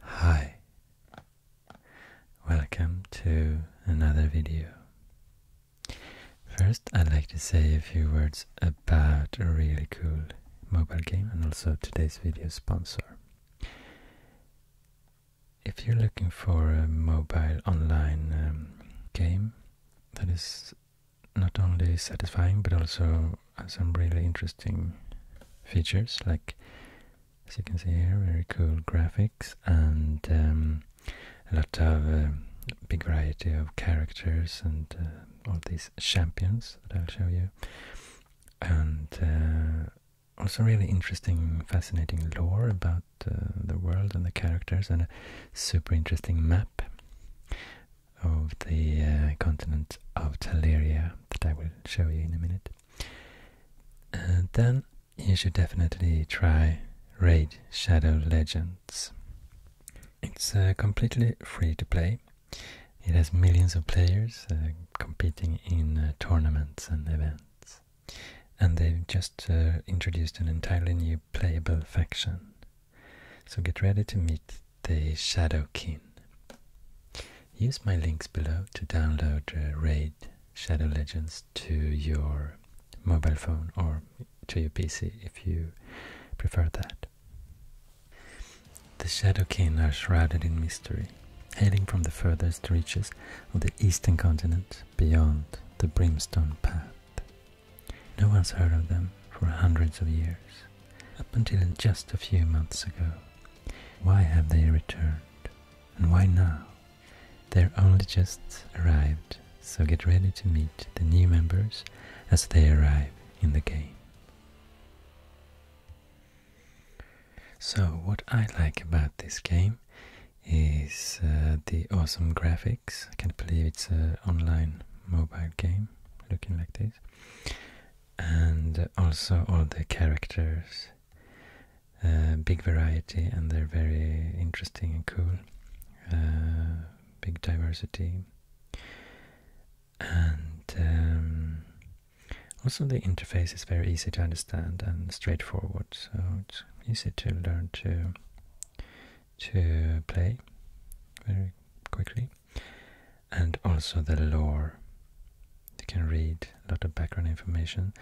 Hi, welcome to another video. First, I'd like to say a few words about a really cool mobile game and also today's video sponsor if you're looking for a mobile online um, game that is not only satisfying but also some really interesting features, like as you can see here, very cool graphics and um, a lot of uh, big variety of characters and uh, all these champions that I'll show you, and uh, also really interesting, fascinating lore about uh, the world and the characters, and a super interesting map of the uh, continent of Teleria that I will show you in a minute. And uh, then you should definitely try Raid Shadow Legends. It's completely free to play. It has millions of players competing in tournaments and events. And they've just uh, introduced an entirely new playable faction. So get ready to meet the Shadowkin. Use my links below to download uh, Raid Shadow Legends to your mobile phone or to your PC if you prefer that. The Shadowkin are shrouded in mystery, hailing from the furthest reaches of the eastern continent beyond the brimstone path. No one's heard of them for hundreds of years, up until just a few months ago. Why have they returned? And why now? They're only just arrived, so get ready to meet the new members as they arrive in the game. So, what I like about this game is uh, the awesome graphics. I can't believe it's an online mobile game looking like this. And also all the characters, uh, big variety, and they're very interesting and cool. Uh, big diversity. And um, also the interface is very easy to understand and straightforward so it's easy to learn to to play very quickly. And also the lore. You can read a lot of background information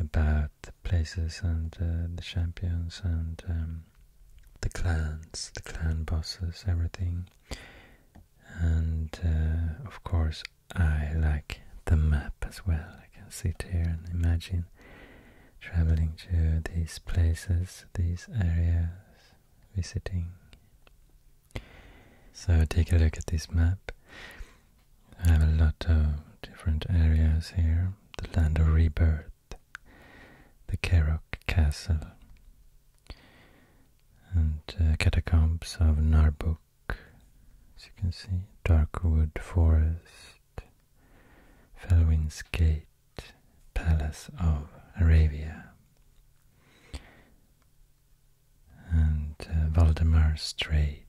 about the places and uh, the champions and um, the clans, the clan bosses, everything. And uh, of course, I like the map as well. I can sit here and imagine traveling to these places, these areas, visiting. So take a look at this map. I have a lot of different areas here. The land of rebirth, the Kerok castle, and uh, catacombs of Narbuk, as you can see, Darkwood forest, Felwin's Gate Palace of Arabia and uh, Valdemar Strait.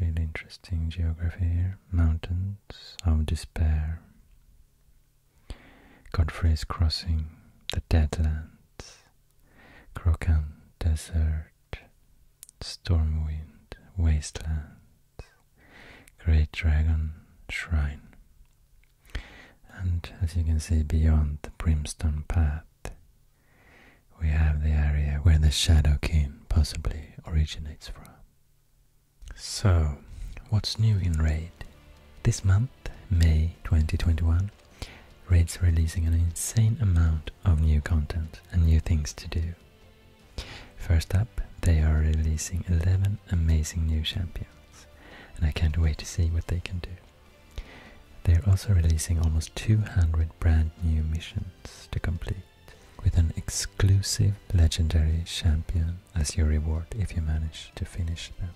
Really interesting geography here. Mountains of Despair. Godfrey's Crossing, the Deadlands, Crocan Desert, Stormwind Wastelands, Great Dragon Shrine. And as you can see beyond the Brimstone Path, we have the area where the Shadow King possibly originates from. So, what's new in Raid? This month, May 2021, Raid's releasing an insane amount of new content and new things to do. First up, they are releasing 11 amazing new champions, and I can't wait to see what they can do. They are also releasing almost 200 brand new missions to complete, with an exclusive legendary champion as your reward if you manage to finish them.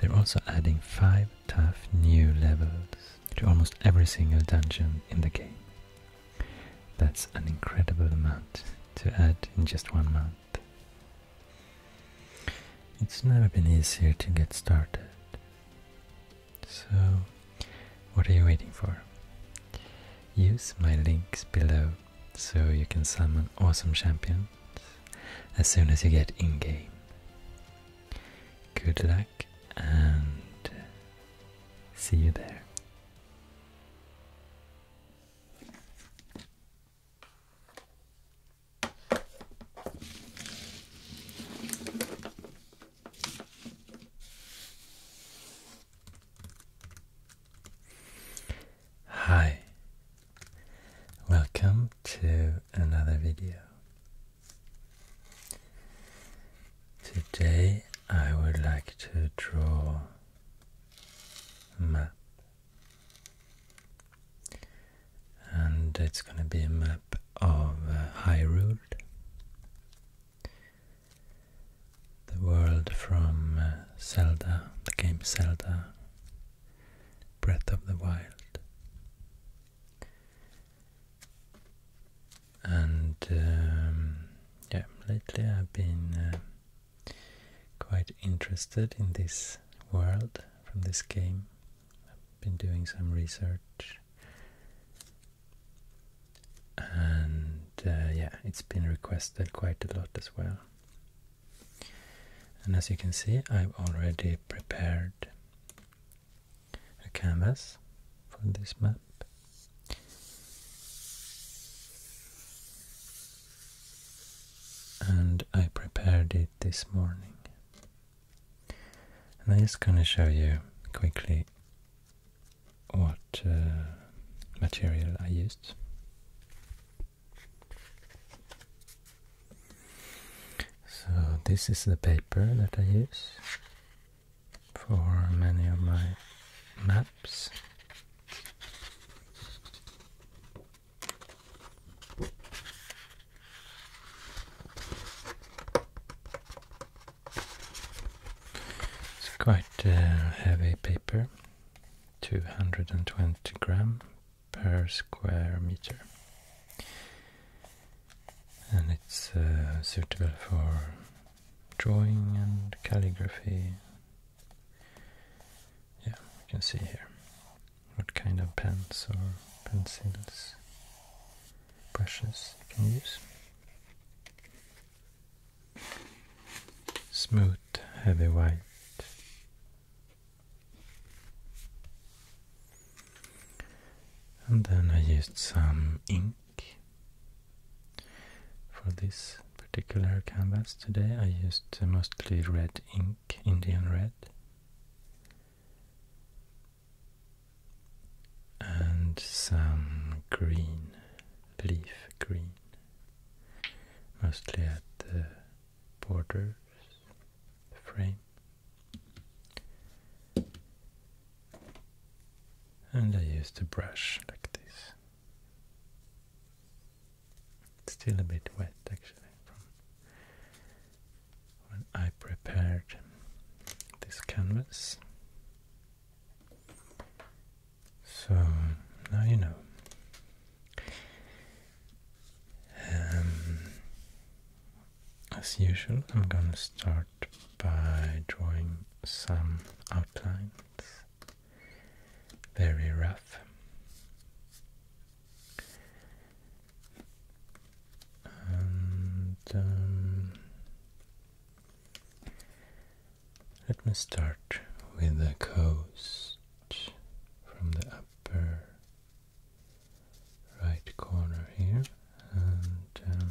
They're also adding 5 tough new levels to almost every single dungeon in the game. That's an incredible amount to add in just one month. It's never been easier to get started. So, what are you waiting for? Use my links below so you can summon awesome champions as soon as you get in game. Good luck and see you there. Hi, welcome to another video. Today I would like to draw a map. And it's going to be a map of uh, Hyrule, the world from uh, Zelda, the game Zelda, Breath of the Wild and um, yeah, lately I've been uh, quite interested in this world from this game. I've been doing some research, and uh, yeah, it's been requested quite a lot as well. And as you can see, I've already prepared a canvas for this map. And I prepared it this morning. And I'm just gonna show you quickly what uh, material I used. So this is the paper that I use for many of my maps. It's quite heavy paper, 220 gram per square meter and it's uh, suitable for drawing and calligraphy. Yeah, we can see here what kind of pens or pencils, brushes you can use. Smooth, heavy white. And then I used some ink for this particular canvas today I used mostly red ink, Indian red. And some green, leaf green, mostly at the borders, the frame and I use the brush like this. It's still a bit wet actually when I prepared this canvas. So now you know. Um, as usual, I'm gonna start by drawing some outlines, very rough. Um, let me start with the coast from the upper right corner here and um,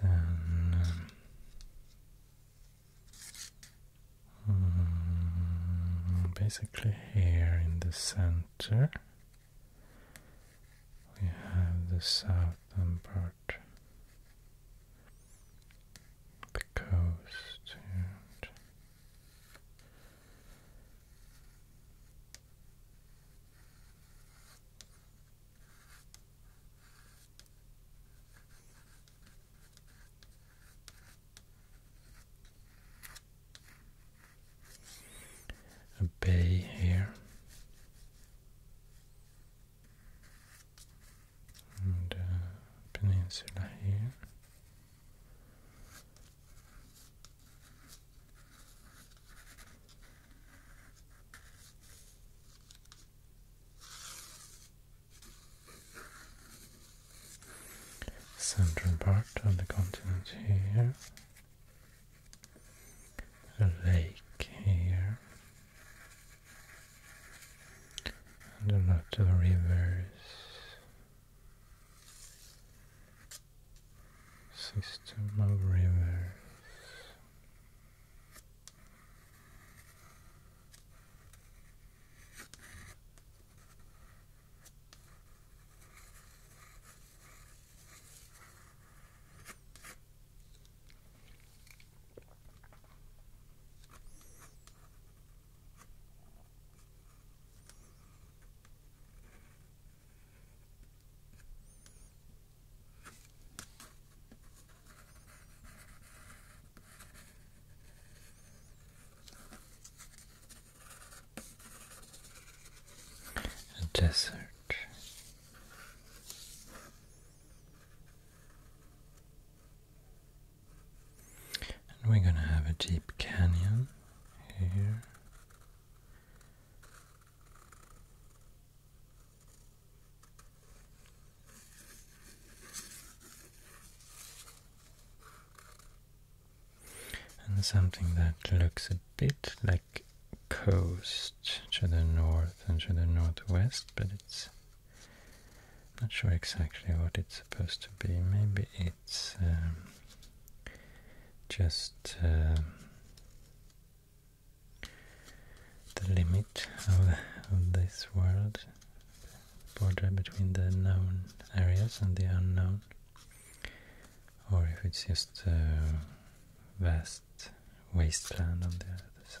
then um, basically here in the center we have the southern part, the coast a bay here and a uh, peninsula here Central part of the continent here, a lake here, and a lot of rivers system of rivers. A desert. And we're gonna have a deep canyon here. And something that looks a bit like coast to the north and to the northwest, but it's not sure exactly what it's supposed to be. Maybe it's um, just um, the limit of, this world, border between the known areas and the unknown, or if it's just a uh, vast wasteland on the other side.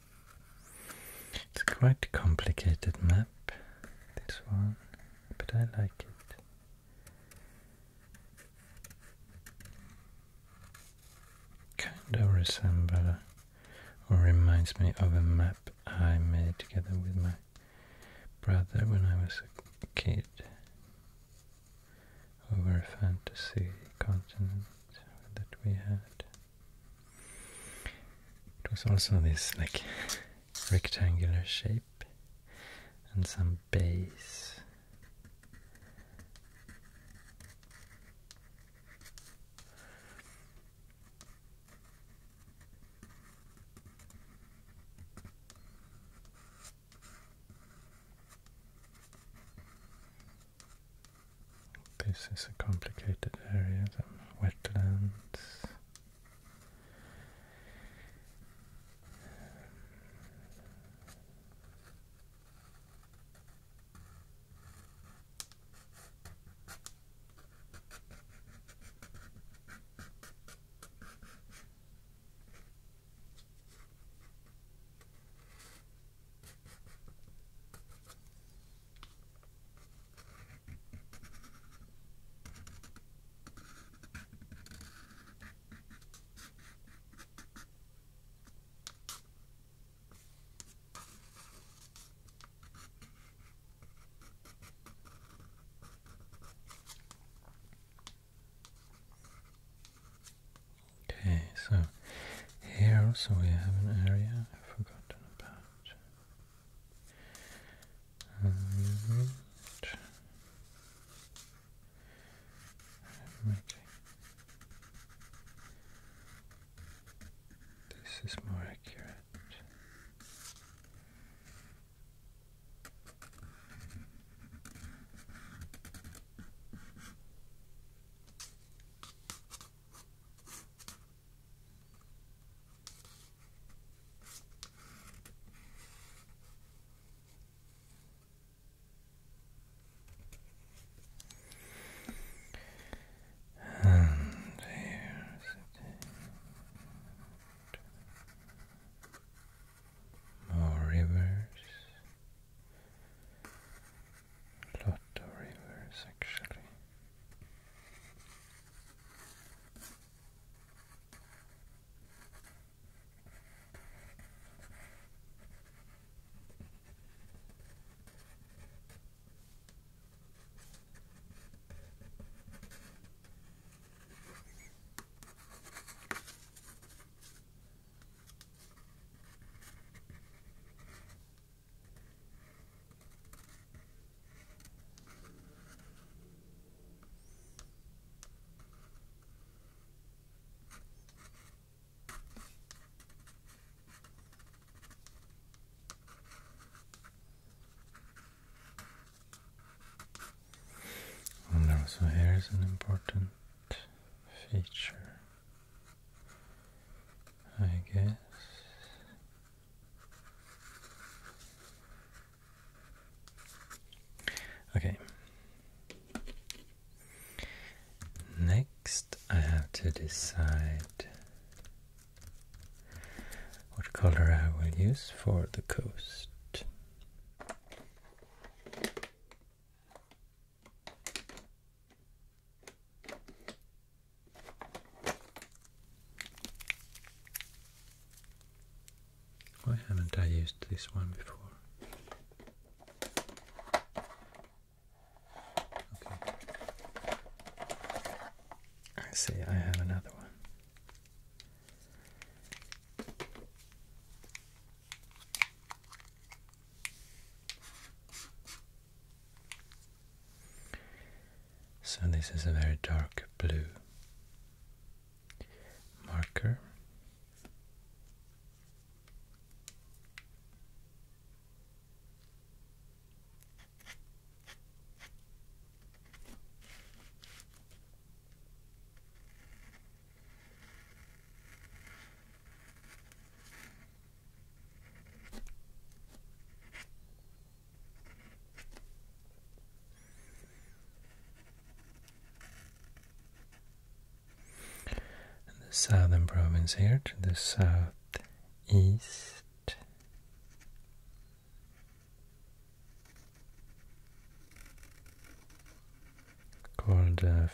It's quite a complicated map, this one, but I like it. Kind of resembles or reminds me of a map I made together with my brother when I was a kid over a fantasy continent that we had. It was also this like rectangular shape and some base. This is a complicated area, The wetlands. Okay, so here also we have an area I've forgotten about. This is more accurate. And here's More rivers lot of rivers actually. So here is an important feature, I guess. Okay. Next, I have to decide what color I will use for the coast. Why haven't I used this one before? I see, I have another one. So this is a very dark blue marker. And the southern province here to the southeast. Called uh,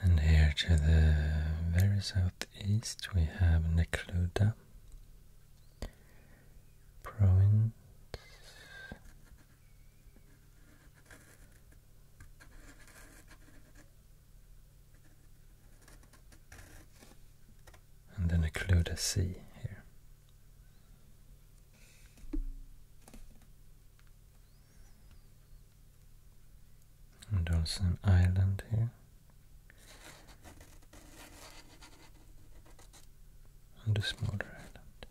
and here to the very southeast we have Nekluda province and then a clue to see here. And also an island here. And a smaller island.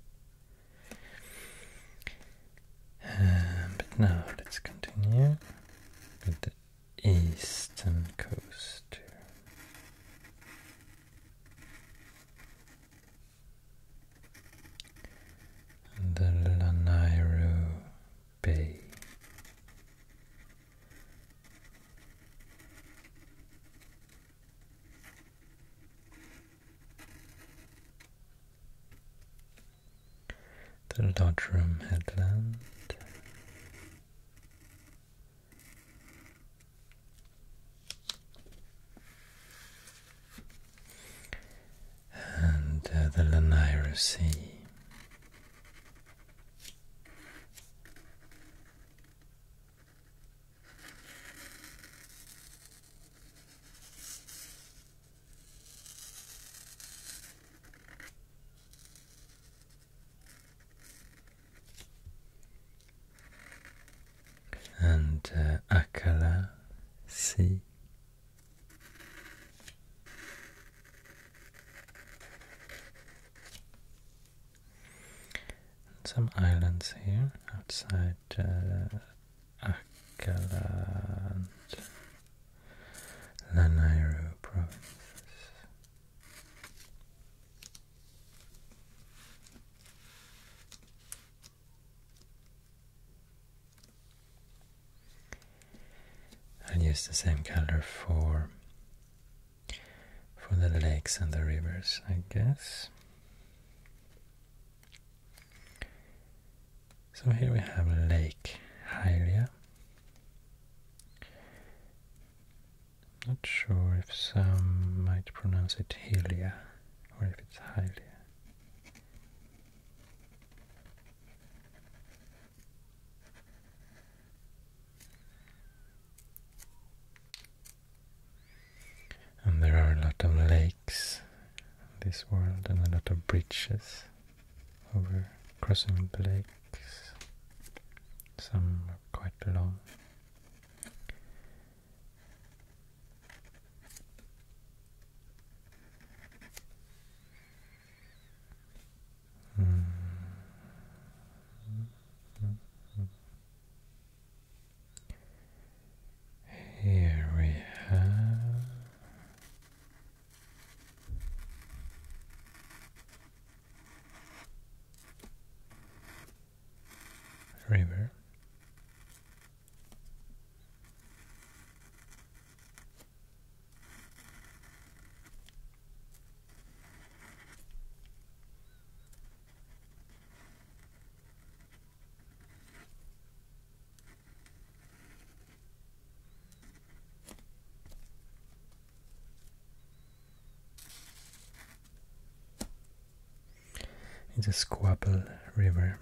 Um, but now let's continue with the eastern coast. to The Lanairu Bay. The Doddrum Headland. And uh, the Lanira Sea and uh, Akala Sea. Some islands here outside uh, Akkaland, Lanairu provinces. I'll use the same color for for the lakes and the rivers, I guess. So here we have Lake Hylia. Not sure if some might pronounce it Hylia or if it's Hylia. And there are a lot of lakes in this world and a lot of bridges over crossing the lakes. Some are quite long. Hmm. Hmm. Hmm. Here we have river. It's a squabble River.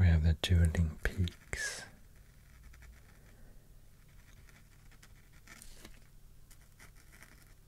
We have the Dueling Peaks.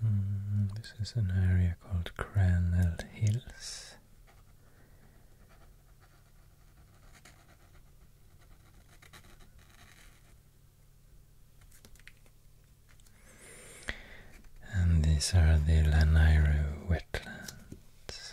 Hmm, this is an area called Craneld Hills. And these are the Lanairo wetlands.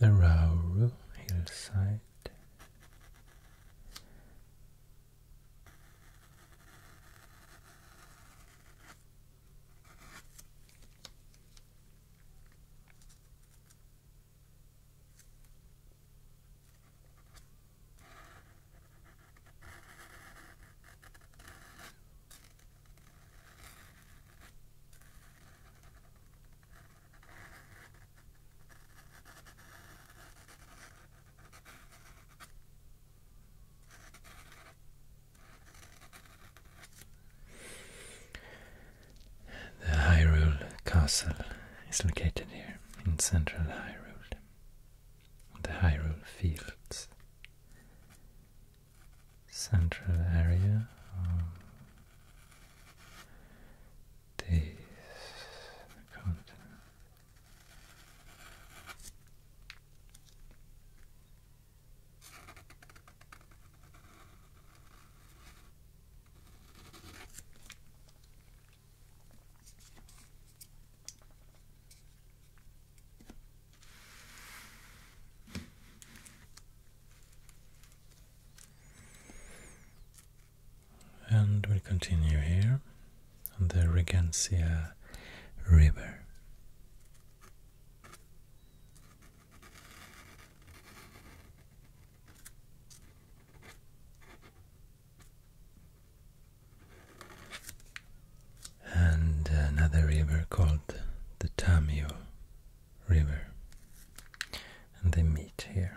The Rauru hillside. The Hyrule Castle is located here in central Hyrule the Hyrule Fields. Central area of continent. And we'll continue here on the Regancia River and another river called the Tamio River, and they meet here.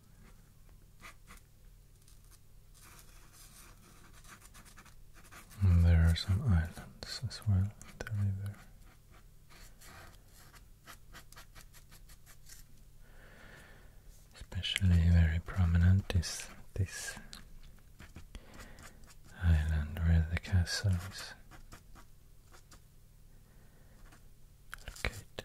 there are some islands as well Especially very prominent is this island where the castle is located.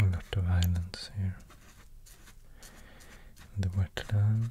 A lot of islands here. The wetlands.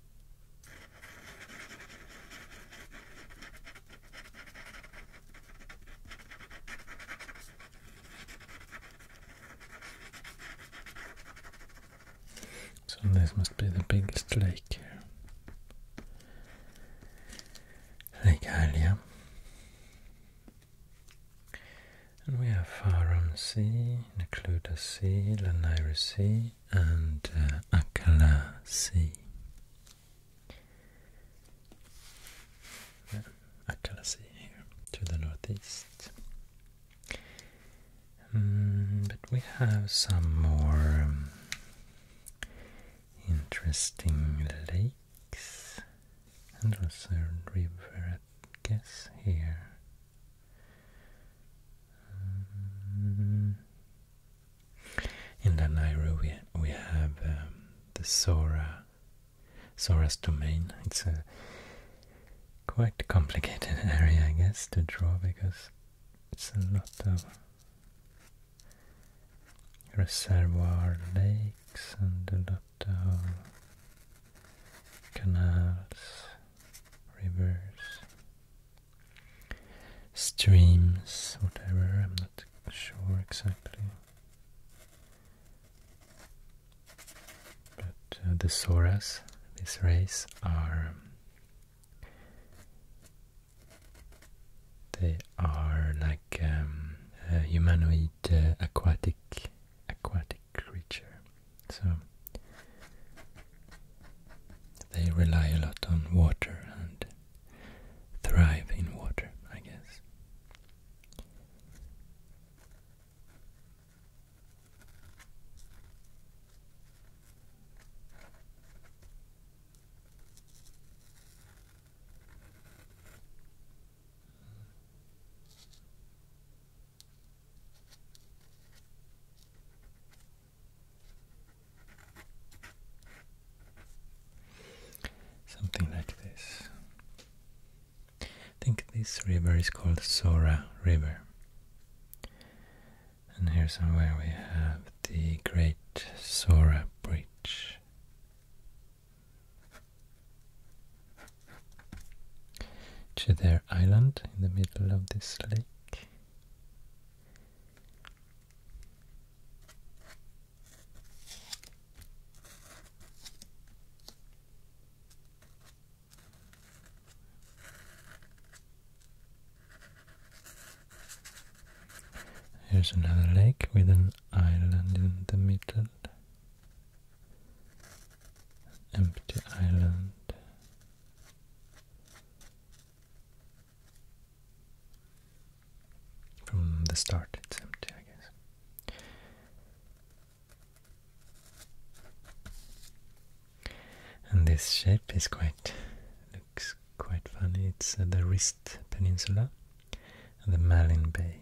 So this must be the biggest lake here. Lake Alia. And we have Farum Sea, Nakluda Sea, Lanairu Sea, and uh, Akala Sea. Akala Sea here to the northeast. Hmm, but we have some more um, interesting lakes and also river, I guess, here. Hmm. In Lanairo we, we have um, the Sora, Sora's domain. It's a quite complicated area, I guess, to draw because it's a lot of reservoir lakes and a lot of canals, rivers, streams, whatever, I'm not sure exactly. But uh, the Sauras, this race, are um, they are like um, a humanoid uh, aquatic aquatic creature. So they rely a lot on water and thrive in water, I guess. Something like this. I think this river is called Sora River. And here somewhere we have the Great Sora Bridge. To their Island in the middle of this lake. Here's another lake with an island in the middle. Empty island. From the start, it's empty, I guess. And this shape is quite looks quite funny. It's uh, the Wrist Peninsula and the Malin Bay.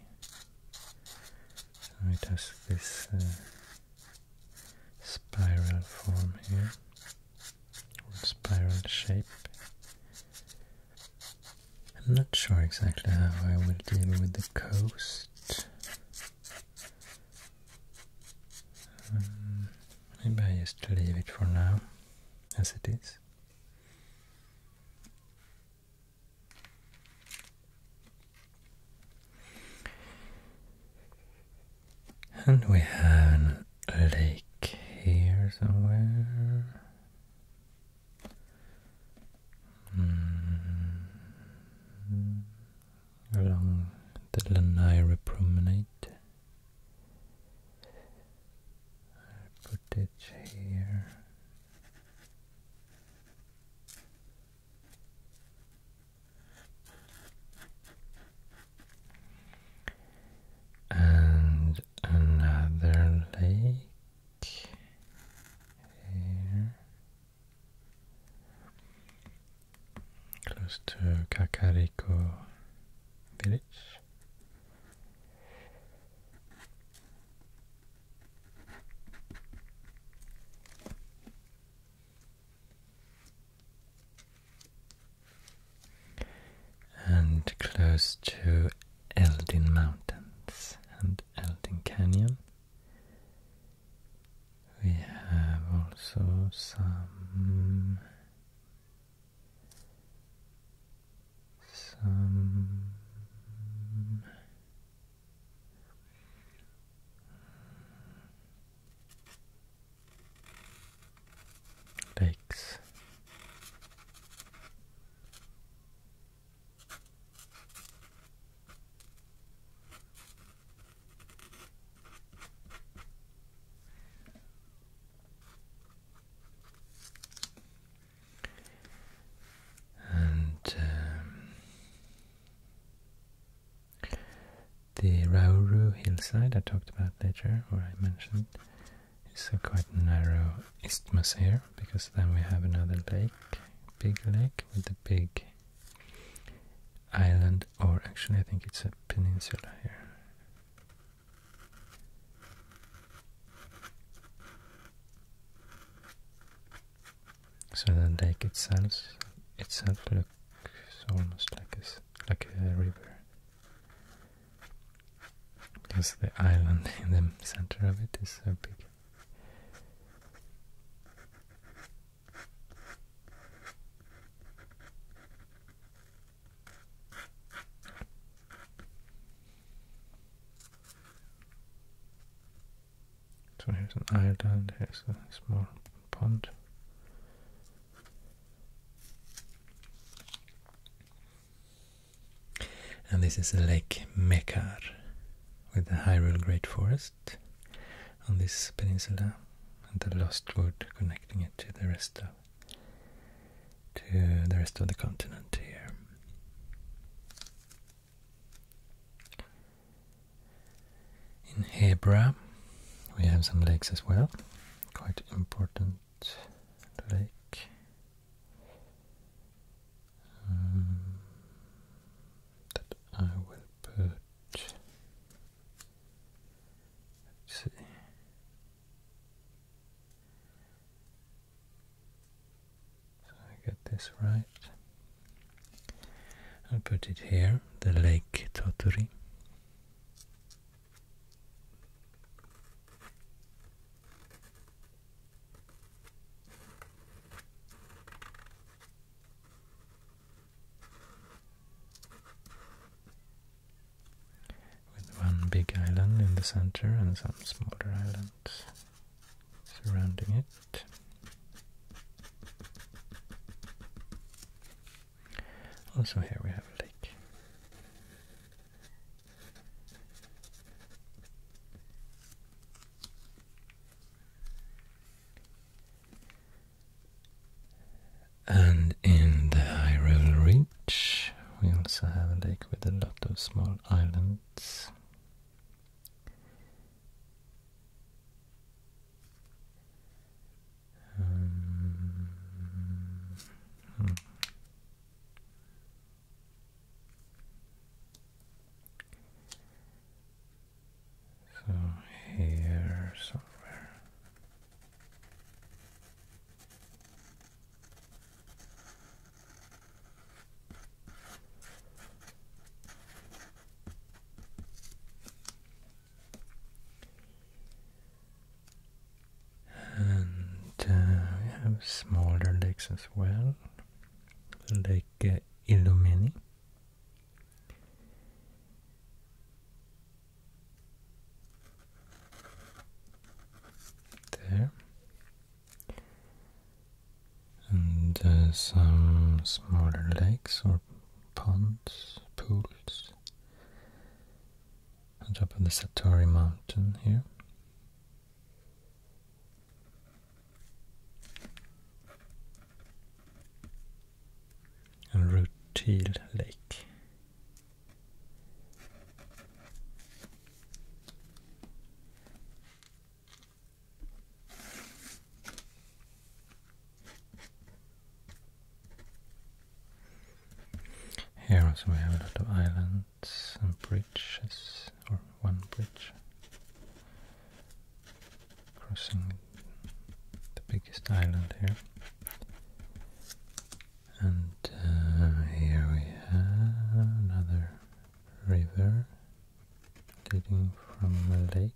So it has this uh, spiral form here spiral shape. I'm not sure exactly how I will deal with the coast. Um, maybe I just leave it for now, as it is. And we have lake here somewhere. Hmm. Along the Lanira promenade. i here and another lake close to Kakariko village and close to Eldin Mountains and Eldin Canyon. We have also some some lakes and um, the Rauru hillside I talked about later, or I mentioned, it's a quite narrow isthmus here, because then we have another lake, big lake with a big island, or actually I think it's a peninsula here. So the lake itself itself looks almost like a like a river. Because the island in the center of it is so big. So here's an island, here's a small pond. And this is Lake Mekar with the Hyrule Great Forest on this peninsula and the Lost Wood connecting it to the rest of to the rest of the continent here. In Hebra we have some lakes as well, quite important Lake. Um, that I will put. see. So I get this right. I'll put it here, the Lake Totori. With one big island in the center and some smaller islands surrounding it. Also, here we have a lake. And in the Hyrule Reach, we also have a lake with a lot of small islands. Um, hmm. So here somewhere. And uh, we have smaller lakes as well, like Illumini. Uh, Ilomeni. There. And uh, some smaller lakes or ponds, pools on top of the Satori mountain here. And Rutil Lake. Here also we have a lot of islands boats and bridges, or one bridge crossing the biggest island here. And uh, here we have another river leading from the lake.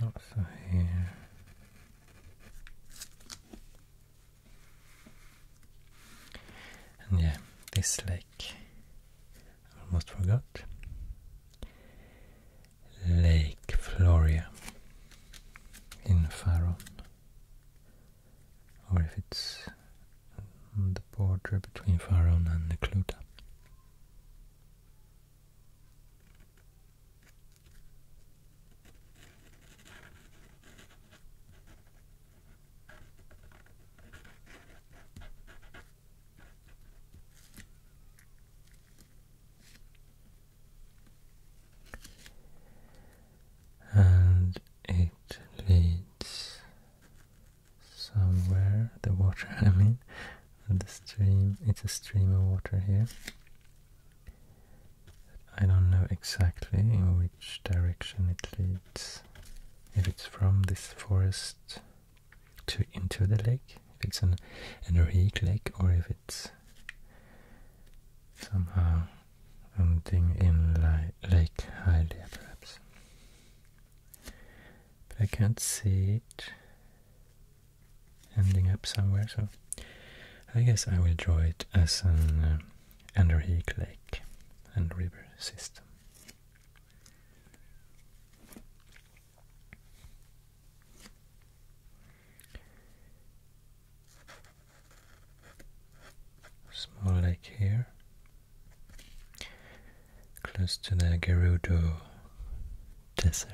Not so here. And yeah, this lake almost forgot. Lake Floria in Faron, or if it's the border between Faron and Nekluta. And it leads somewhere, the water I mean, the stream, it's a stream of water here. I don't know exactly in which direction it leads. If it's from this forest to into the lake, if it's an Enrique lake, or if it's somehow something in like Lake Hylia perhaps but I can't see it ending up somewhere, so I guess I will draw it as an uh, Anderheek lake and river system. Small lake here, close to the Gerudo Desert.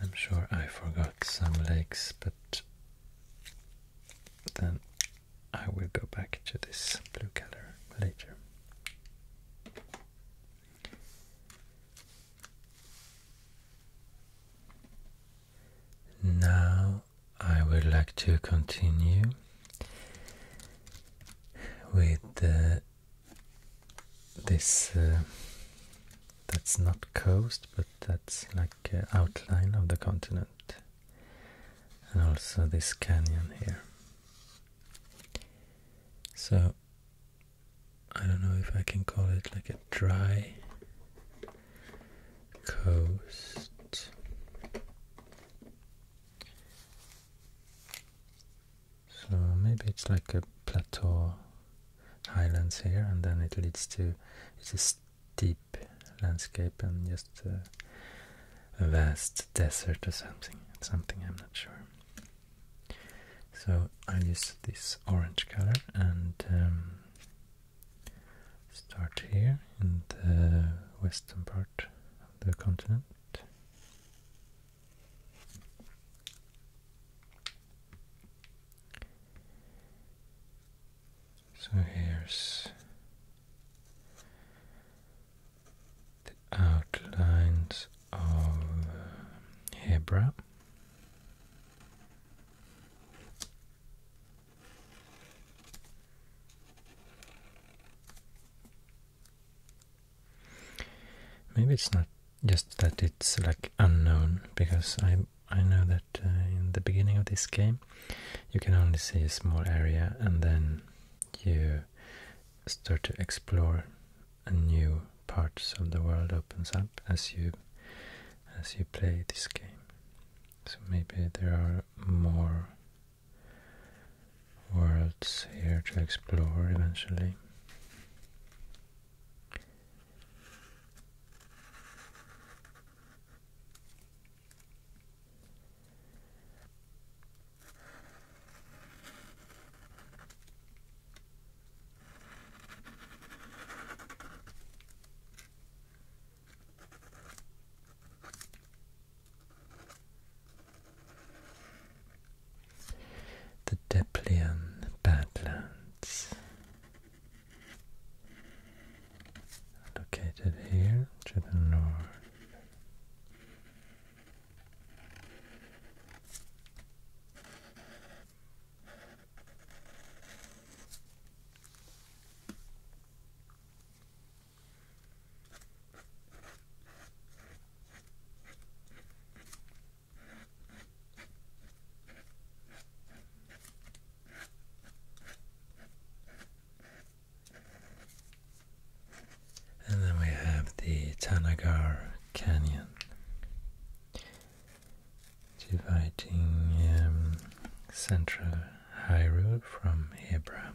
I'm sure I forgot some lakes, but then I will go back to this blue color later. Now I would like to continue with this. Uh, that's not coast, but that's like uh, outline of the continent, and also this canyon here. So I don't know if I can call it like a dry coast. So maybe it's like a plateau highlands here and then it leads to it's a steep landscape and just a vast desert or something something I'm not sure so I'll use this orange color and um, start here in the western part of the continent. So here's the outlines of Hebra Maybe it's not just that it's like unknown, because I I know that uh, in the beginning of this game you can only see a small area and then you start to explore a new parts of the world opens up as you as you play this game. So maybe there are more worlds here to explore eventually. The Deplian Badlands, located here to the north. And then we have the Tanagar Canyon dividing um, central Hyrule from Hebron.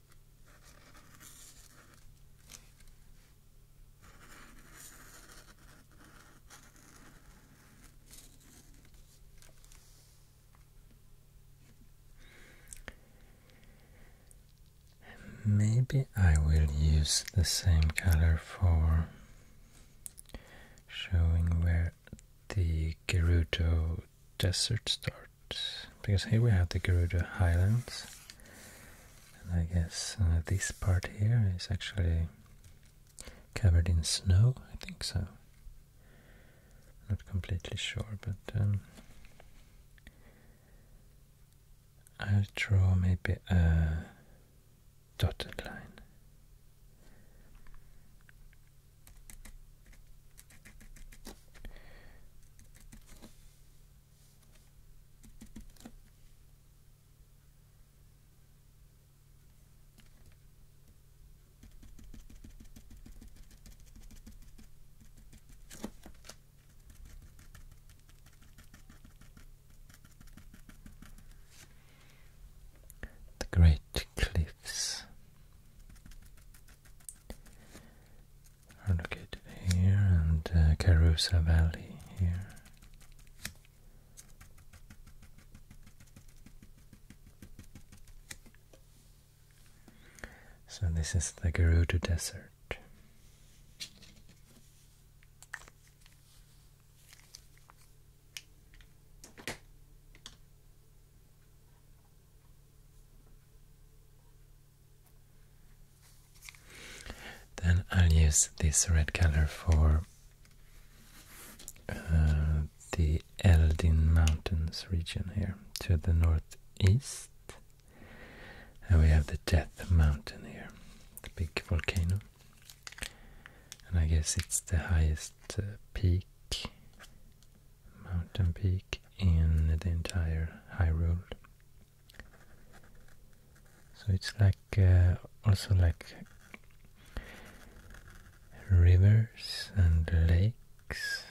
Maybe I will use the same color for showing where the Gerudo desert starts because here we have the Garuda Highlands and I guess uh, this part here is actually covered in snow, I think so not completely sure but um, I'll draw maybe a dotted line the Great Cliffs are located here and uh, Carusa Valley here. So this is the Gerudo Desert. Then I'll use this red color for uh, the Eldin Mountains region here to the northeast. And we have the Death Mountain here, the big volcano. And I guess it's the highest uh, peak, mountain peak in the entire High Road. So it's like uh, also like rivers and lakes.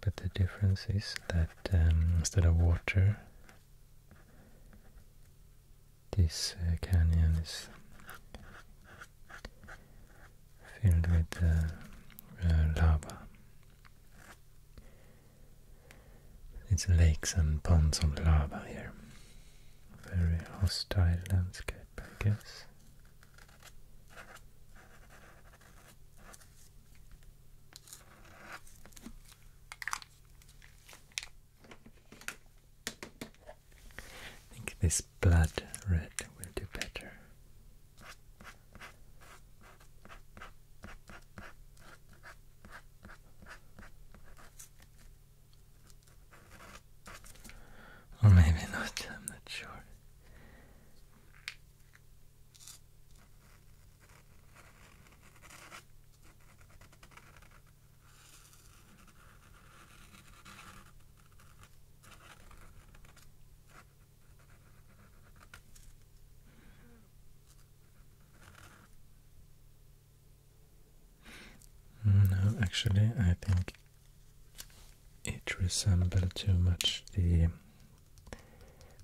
But the difference is that um, instead of water, this uh, canyon is filled with uh, uh, lava. It's lakes and ponds of lava here. Very hostile landscape, I guess. I think this blood red will do better. Or maybe not, I'm not sure. Mm, no, actually, I think it resembled too much the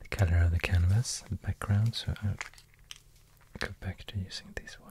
the color of the canvas the background, so I'll go back to using this one.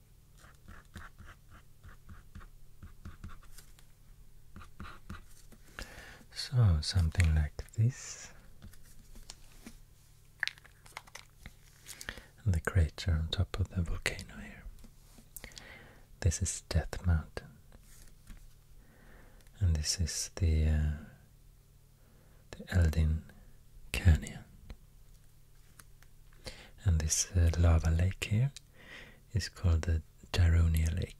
So something like this. And the crater on top of the volcano here. This is Death Mountain. And this is the uh, the Eldin Canyon. And this uh, lava lake here is called the Daronia Lake.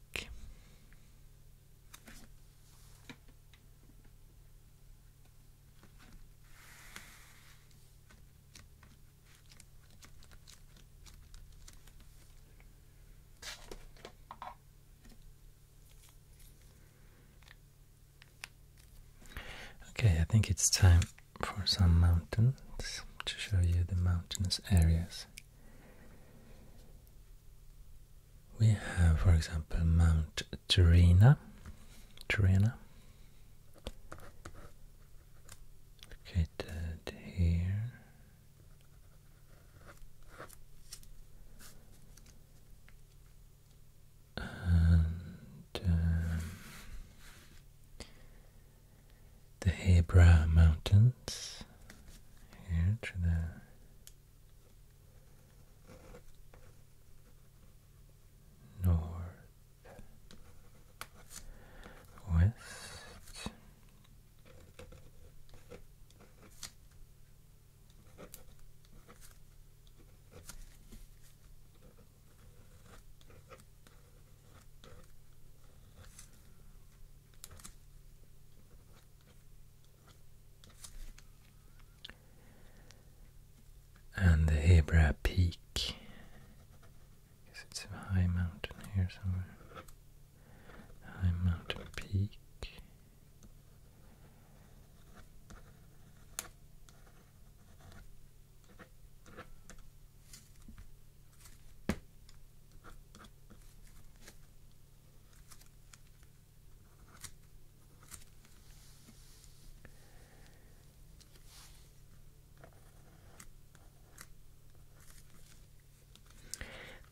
Okay, I think it's time for some mountains to show you the mountainous areas. We have, for example, Mount Terina. Terina. Located here. Um, the Hebra Mountains here to the north west and the Hebra Peak. I it's a high mountain here somewhere. High mountain peak.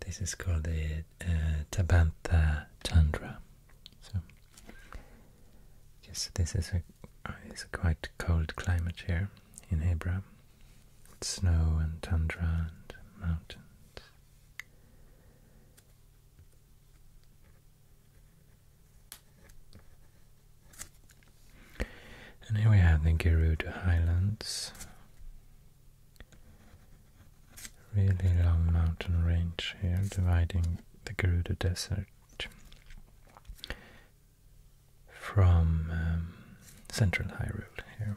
This is called the uh, Tabantha Chandra. So Yes, this is uh, a quite cold climate here in Hebra. It's snow and tundra and mountains. And here we have the Gerudo Highlands. Really long mountain range here dividing the Gerudo Desert from um, Central High Road here.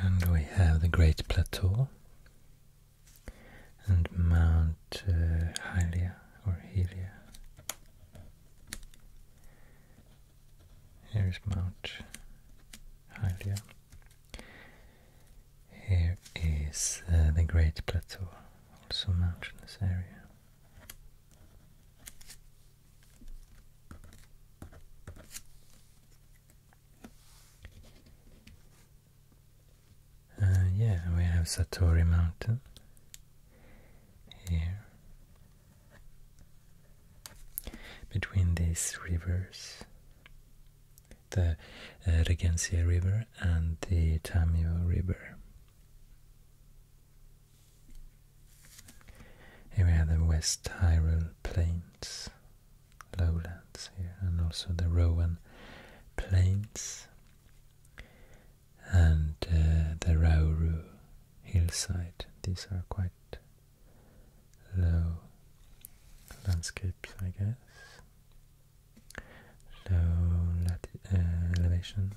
And we have the Great Plateau and Mount Helia uh, or Helia. Here is Mount Helia. Here is uh, the Great Plateau, also mountainous area. Uh, yeah, we have Satori Mountain here. Between these rivers, the uh, River and the Tamio River. Here we have the West Tyrol Plains, lowlands here, and also the Rowan Plains and uh, the Rauru hillside. These are quite low landscapes, I guess, low uh, elevation.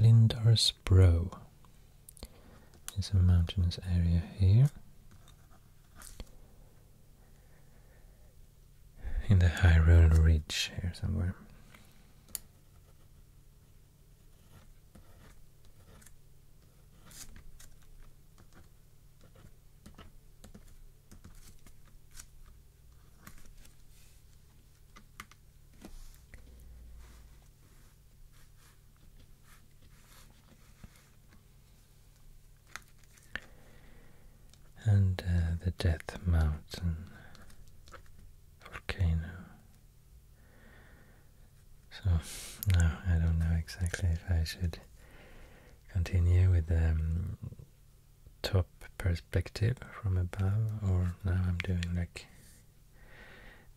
Lindars Bro it's a mountainous area here. In the High Hyrule Ridge here somewhere and uh, the Death Mountain volcano. So now I don't know exactly if I should continue with the um, top perspective from above, or now I'm doing like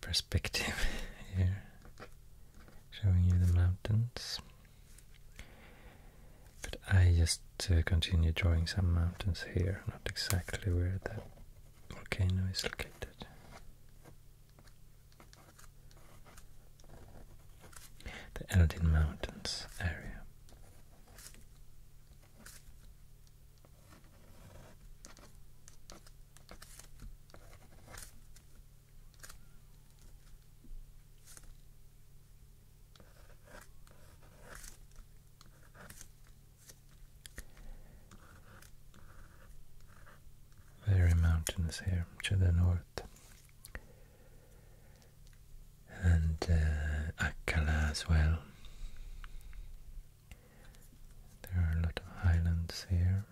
perspective here, showing you the mountains. But I just uh, continue drawing some mountains here, not exactly where the volcano is located. The Eldin Mountains area. Very mountainous here to the north. And uh, Akala as well. There are a lot of islands here.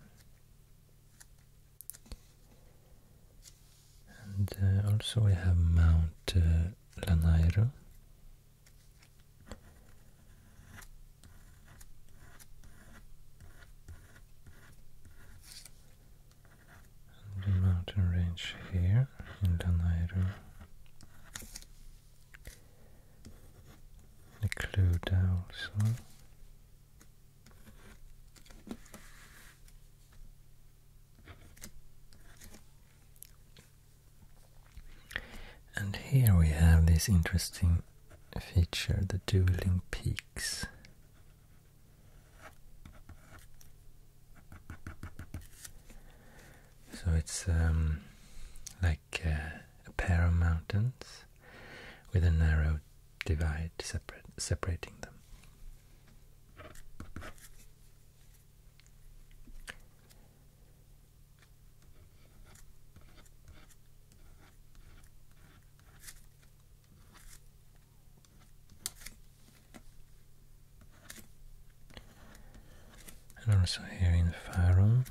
And uh, also we have Mount uh, Lanairo. And the mountain range here in Lanairo. The Cluda also. And here we have this interesting feature, the dueling peaks. So it's um, like uh, a pair of mountains with a narrow divide separating them. And also here in Farum.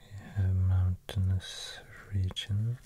You have mountainous regions.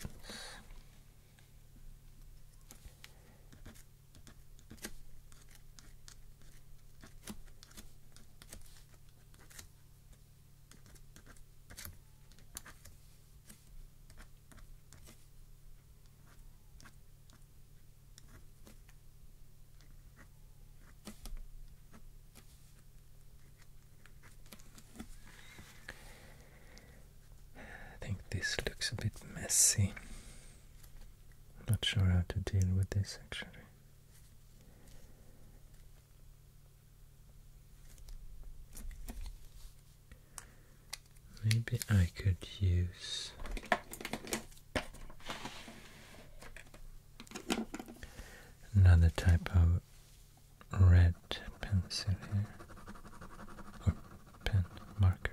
I think this looks a bit messy. I'm not sure how to deal with this actually. Maybe I could use Another type of red pencil here, or pen marker.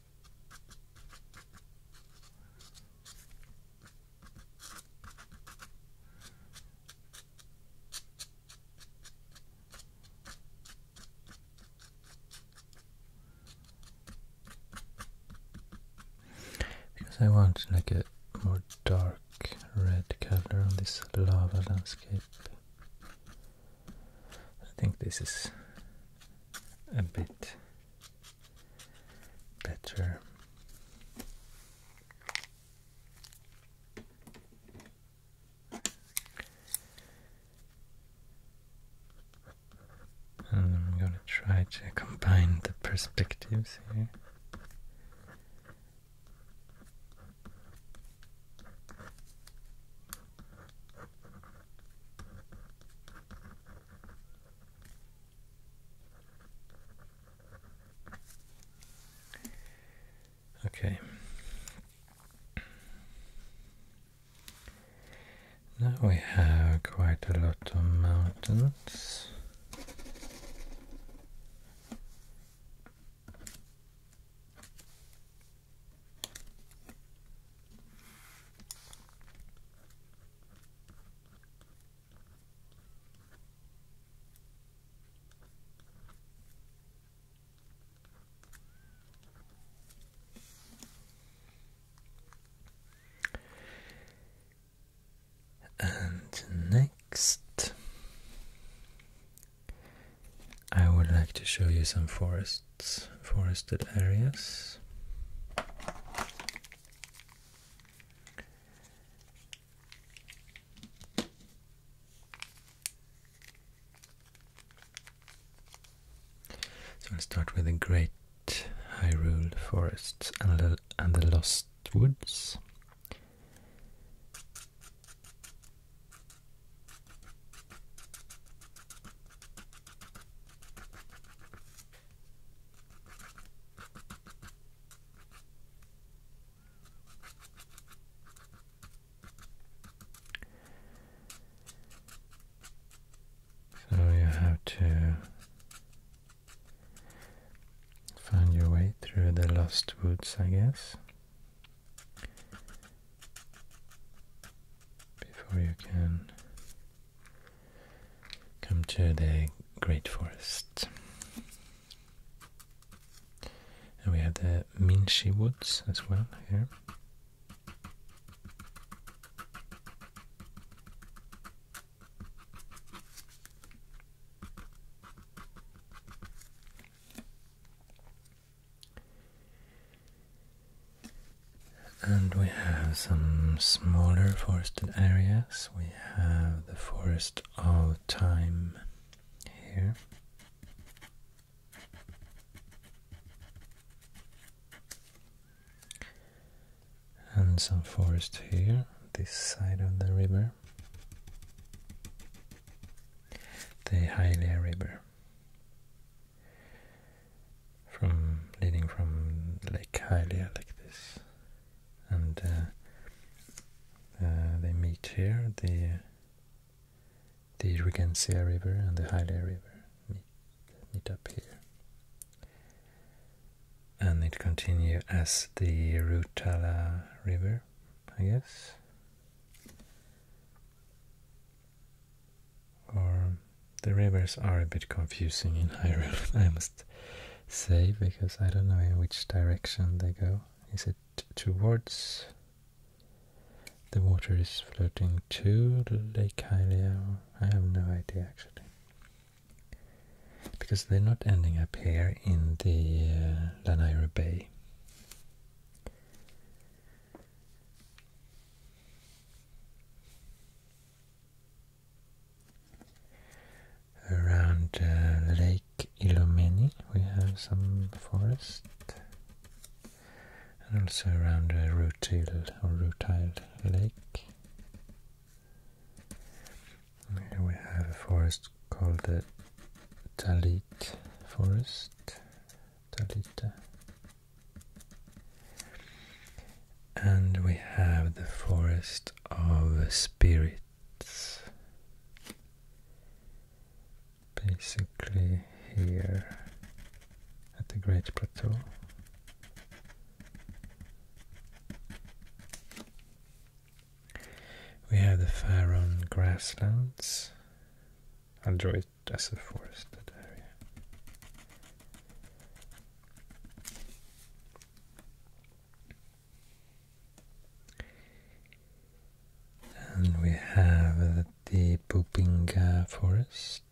Because I want like a more dark red color on this lava landscape. I think this is a bit better. And um, I'm going to try to combine the perspectives here. Okay. Now we have quite a lot of mountains. And next, I would like to show you some forests, forested areas. So I'll start with the Great Hyrule Forests and the, and the Lost Woods. So you have to find your way through the lost woods, I guess, before you can come to the Great Forest. And we have the Minshi Woods as well here. And we have some smaller forested areas. We have the forest of time here. And some forest here, this side of the river. The Hylia River from leading from Lake Hylia like this, and uh, uh, they meet here. the The Regensia River and the Hylia River meet meet up here, and it continues as the Rutala River, I guess, or the rivers are a bit confusing in Hyrule, I must say, because I don't know in which direction they go. Is it towards the water is floating to Lake Hylia? I have no idea actually. Because they're not ending up here in the uh, Bay. Around uh, Lake Ilomeni we have some forest, and also around uh, Rutil or Rutile Lake. Here we have a forest called the Talit Forest, Talita and we have the forest of spirits. Basically, here at the Great Plateau. We have the Faron grasslands. I'll draw it as a forested area. And we have the Bubinga forest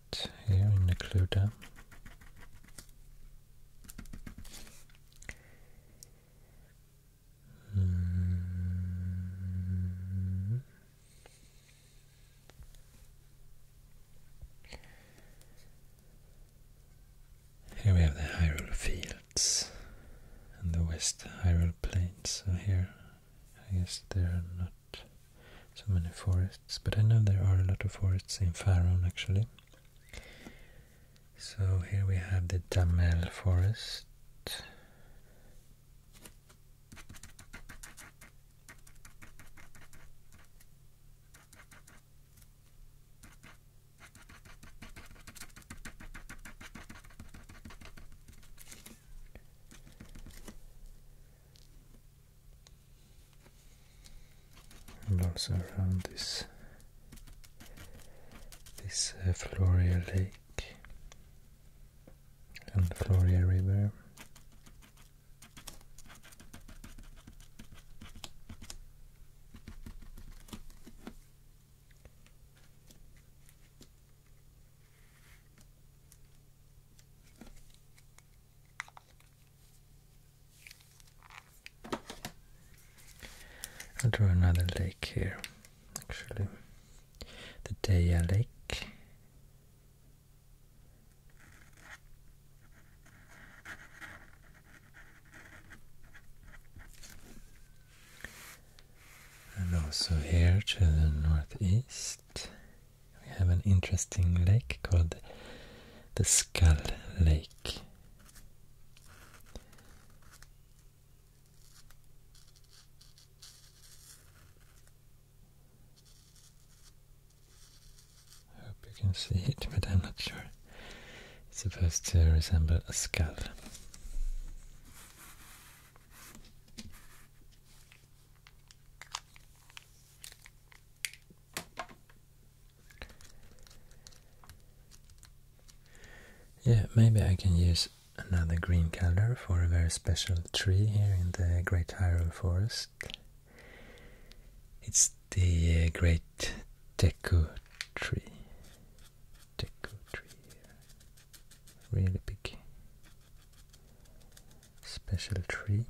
here in Nakluda. Mm. Here we have the Hyrule Fields and the West Hyrule Plains. So here, I guess there are not so many forests, but I know there are a lot of forests in Faron actually. So here we have the Damel Forest and also around this this uh, Floria Lake and Floria River I'll draw another lake here, actually. The Daya Lake and also here to the northeast, we have an interesting lake called the Skull Lake. I hope you can see it, but I'm not sure. It's supposed to resemble a skull. Yeah, maybe I can use another green color for a very special tree here in the Great Hyrule Forest. It's the uh, great teku tree. Deku tree Really big special tree.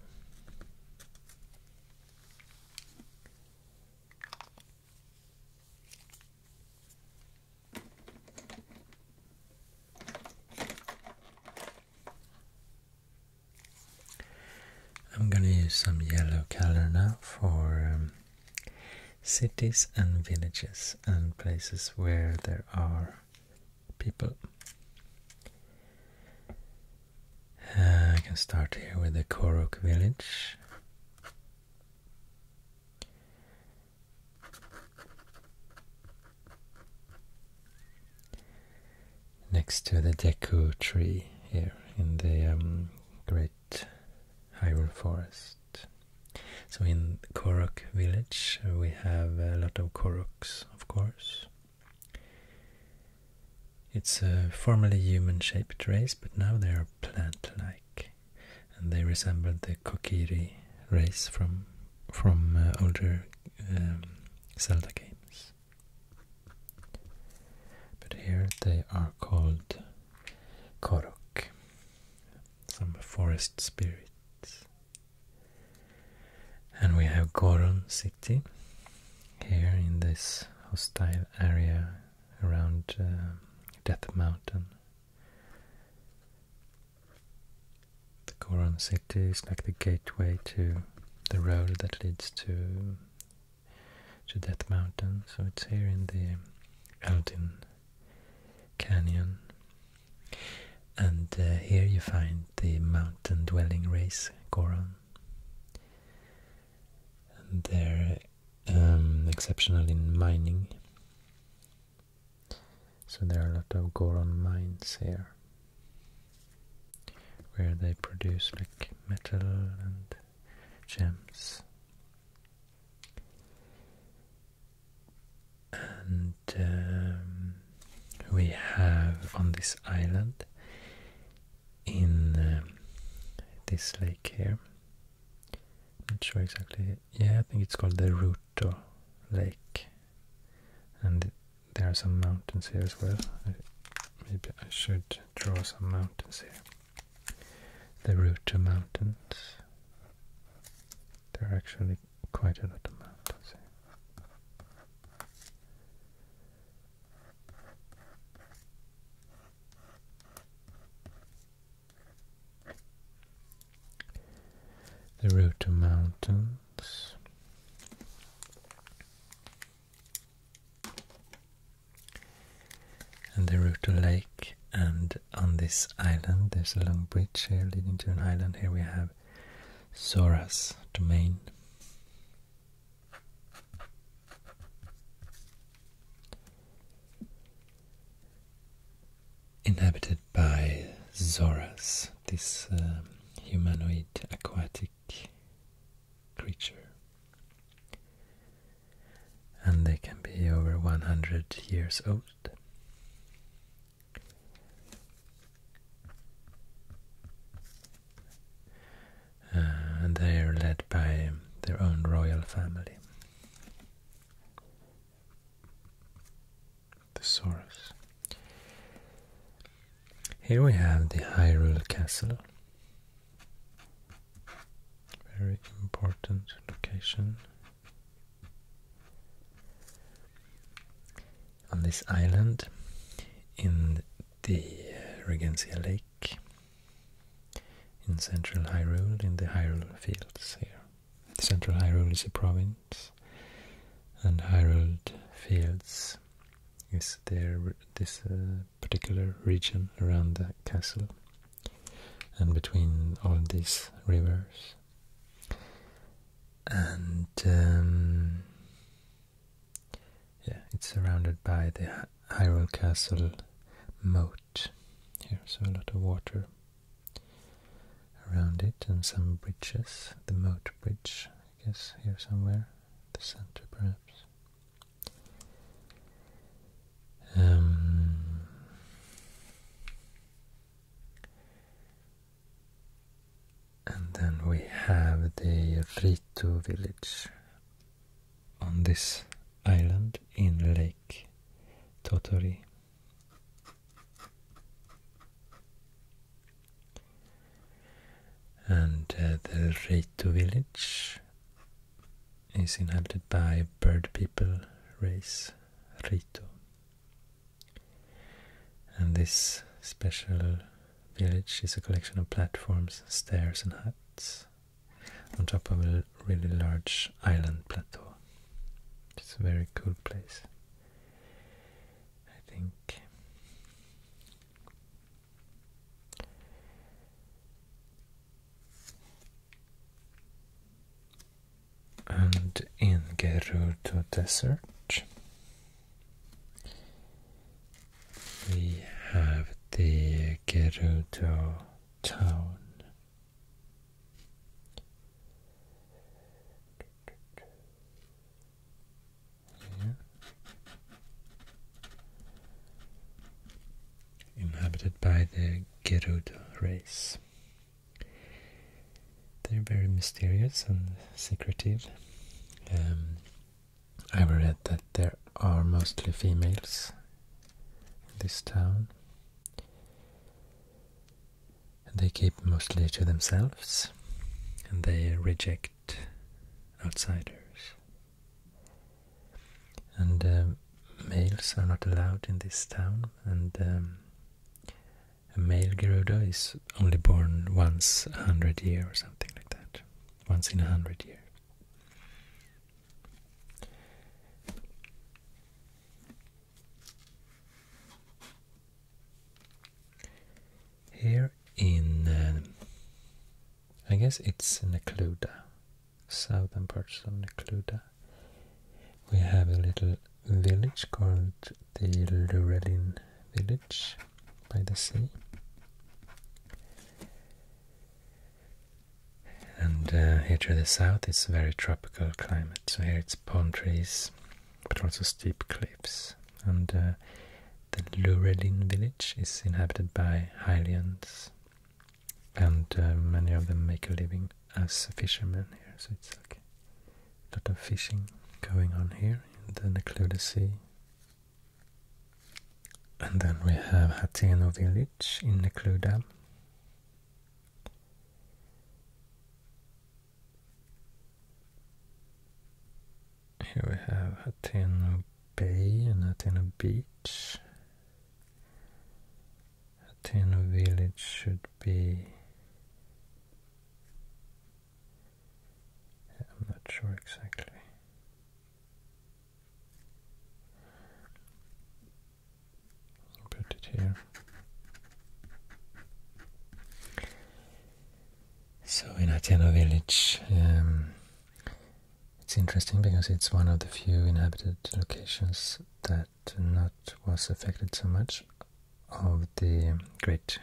I'm gonna use some yellow color now for um, cities and villages and places where there are people. Uh, I can start here with the Korok village next to the Deku tree here in the um, Great Hyrule Forest. So in Korok village we have a lot of Koroks, of course. It's a formerly human-shaped race, but now they are plant-like, and they resemble the Kokiri race from from uh, older um, Zelda games. But here they are called korok, some forest spirits. And we have Goron city here in this hostile area around uh, Death Mountain. The Goron city is like the gateway to the road that leads to to that mountain. So it's here in the Eldin Canyon. And uh, here you find the mountain dwelling race, Goron. And they're um, exceptional in mining. So there are a lot of Goron mines here where they produce like metal and gems. And um, we have on this island in um, this lake here. I'm not sure exactly. Yeah, I think it's called the Ruto Lake. And there are some mountains here as well maybe I should draw some mountains here. The route to mountains. There are actually quite a lot of mountains here. The route to mountains. And they route a lake, and on this island, there's a long bridge here leading to an island. Here we have Zoras domain. Inhabited by Zoras, this um, humanoid aquatic creature. And they can be over 100 years old. Uh, and they are led by their own royal family. The Thesaurus. Here we have the Hyrule Castle, very important location. On this island in the Regencia Lake in central Hyrule, in the Hyrule Fields here. Central Hyrule is a province and Hyrule Fields is there this uh, particular region around the castle and between all these rivers. And um, yeah, it's surrounded by the Hyrule Castle moat here, so a lot of water around it and some bridges, the moat bridge, I guess, here somewhere, the center perhaps. Um, and then we have the Rito village on this island in Lake Totori. And uh, the Rito village is inhabited by bird people race Rito. And this special village is a collection of platforms, stairs and huts on top of a really large island plateau. It's a very cool place, I think. And in Gerudo Desert, we have the Gerudo town inhabited by the Gerudo race. They're very mysterious and secretive. Um, I've read that there are mostly females in this town. they keep mostly to themselves and they reject outsiders. And um, males are not allowed in this town, and um, a male Gerudo is only born once a hundred year or something like that. Once in a hundred year. Here in, um, I guess it's an Nekluda, southern parts of Nekluda. We have a little village called the Lurelin village by the sea. And uh, here to the south it's very tropical climate. So here it's palm trees, but also steep cliffs. And uh, the Lurelin village is inhabited by Highlanders and uh, many of them make a living as fishermen here. So it's like a lot of fishing going on here in the Necluda Sea. And then we have Hateno village in the Necluda. Here we have Hateno bay and a beach. Athena village should be. I'm not sure exactly. Put it here. So in Athena village. Um, it's interesting because it's one of the few inhabited locations that not was affected so much of the great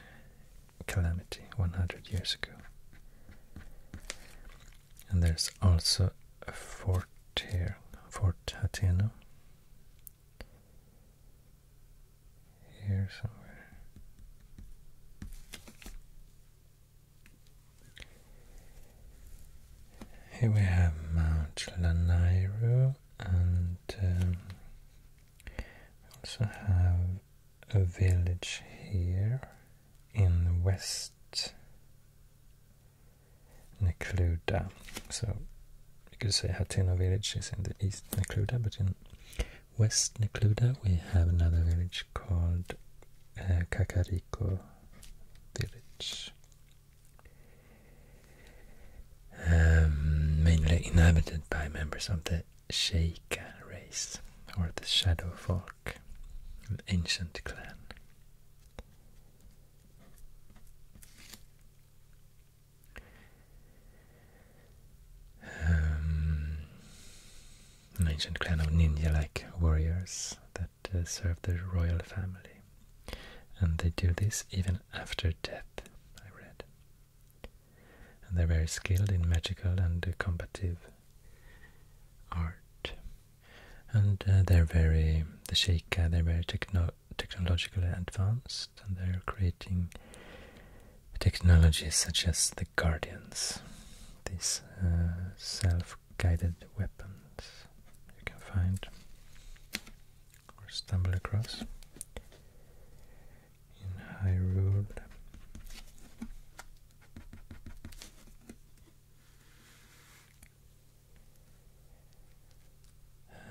calamity 100 years ago. And there's also a fort here, Fort Hateno. Here somewhere. Here we have Mount Lanairo, and um, we also have a village here in west, Nekluda. So you could say Hatena village is in the east Nekluda, but in west Nekluda we have another village called uh, Kakariko village. Um, mainly inhabited by members of the Sheikha race or the Shadow Folk, an ancient clan. Um, an ancient clan of ninja like warriors, the to uh, serve the royal family. And they do this even after death, I read. And they're very skilled in magical and combative art. And uh, they're very, the Sheikah, they're very technologically advanced and they're creating technologies such as the Guardians, these uh, self guided weapons you can find or stumble across in Hyrule.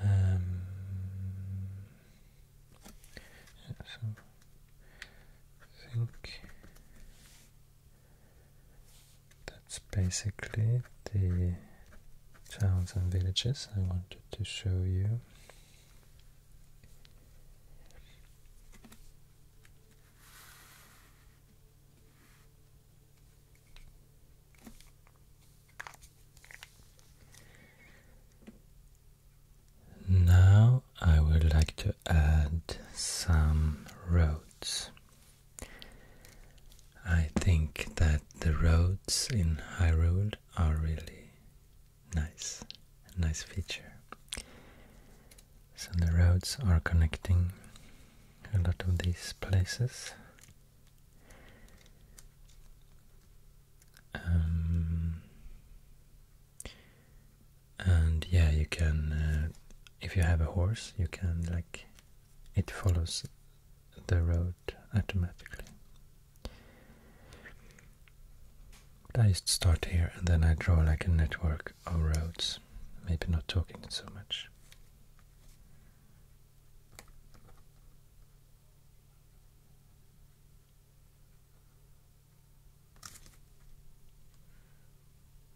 Um, so I think that's basically the towns and villages I wanted to show you. Now I would like to add some roads I think that the roads in Hyrule are really nice, nice feature. So the roads are connecting a lot of these places. Um, and yeah you can uh, if you have a horse you can like it follows the road automatically I just start here and then I draw like a network of roads maybe not talking so much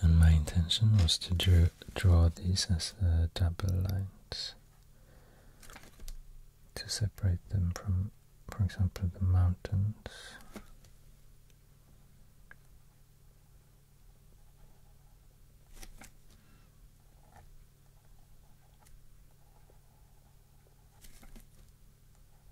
And my intention was to draw, these as uh, double lines to separate them from, for example, the mountains.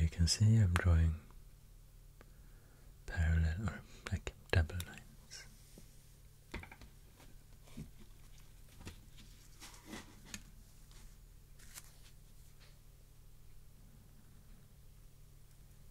you can see I'm drawing parallel or like double lines.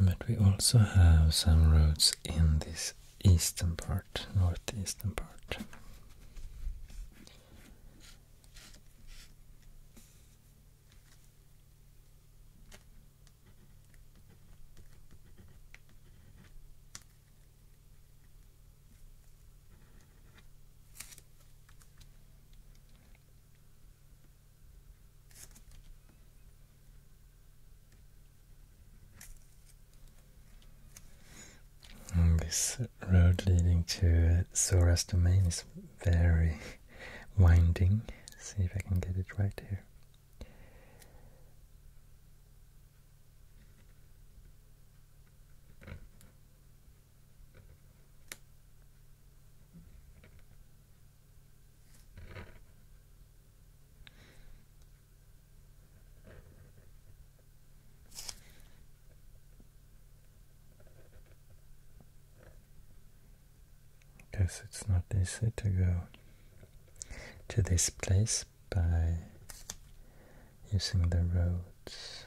But we also have some roads in this eastern part, northeastern part. Mm, this road leading to Sora's uh, domain is very winding. see if I can get it right here. Guess it's not easy to go to this place by using the roads.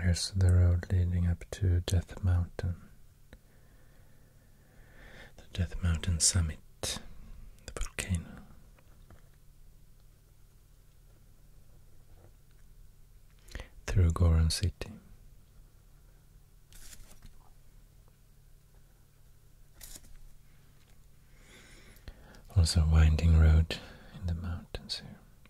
Here's the road leading up to Death Mountain. The Death Mountain summit, the volcano. Through Goron City. Also, a winding road in the mountains here.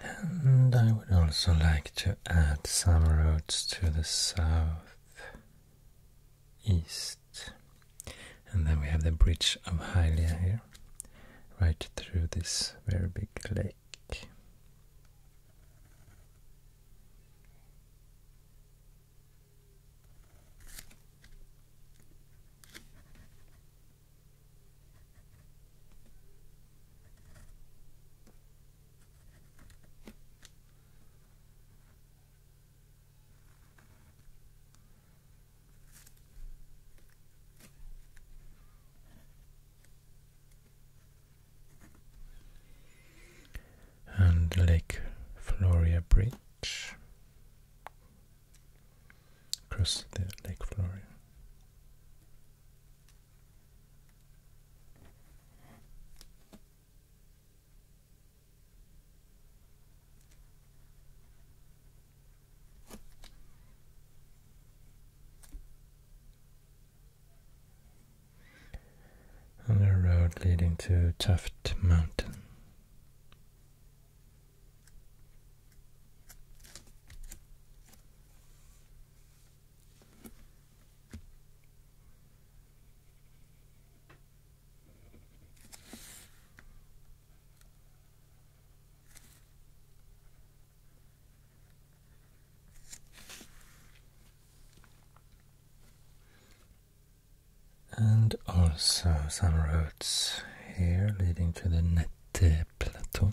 And I would also like to add some roads to the south east. And then we have the bridge of Hylia here, right through this very big lake and Lake Floria Bridge across the Lake Floria. On the road leading to Tuft Mountain. And also some roads here leading to the Nette Plateau.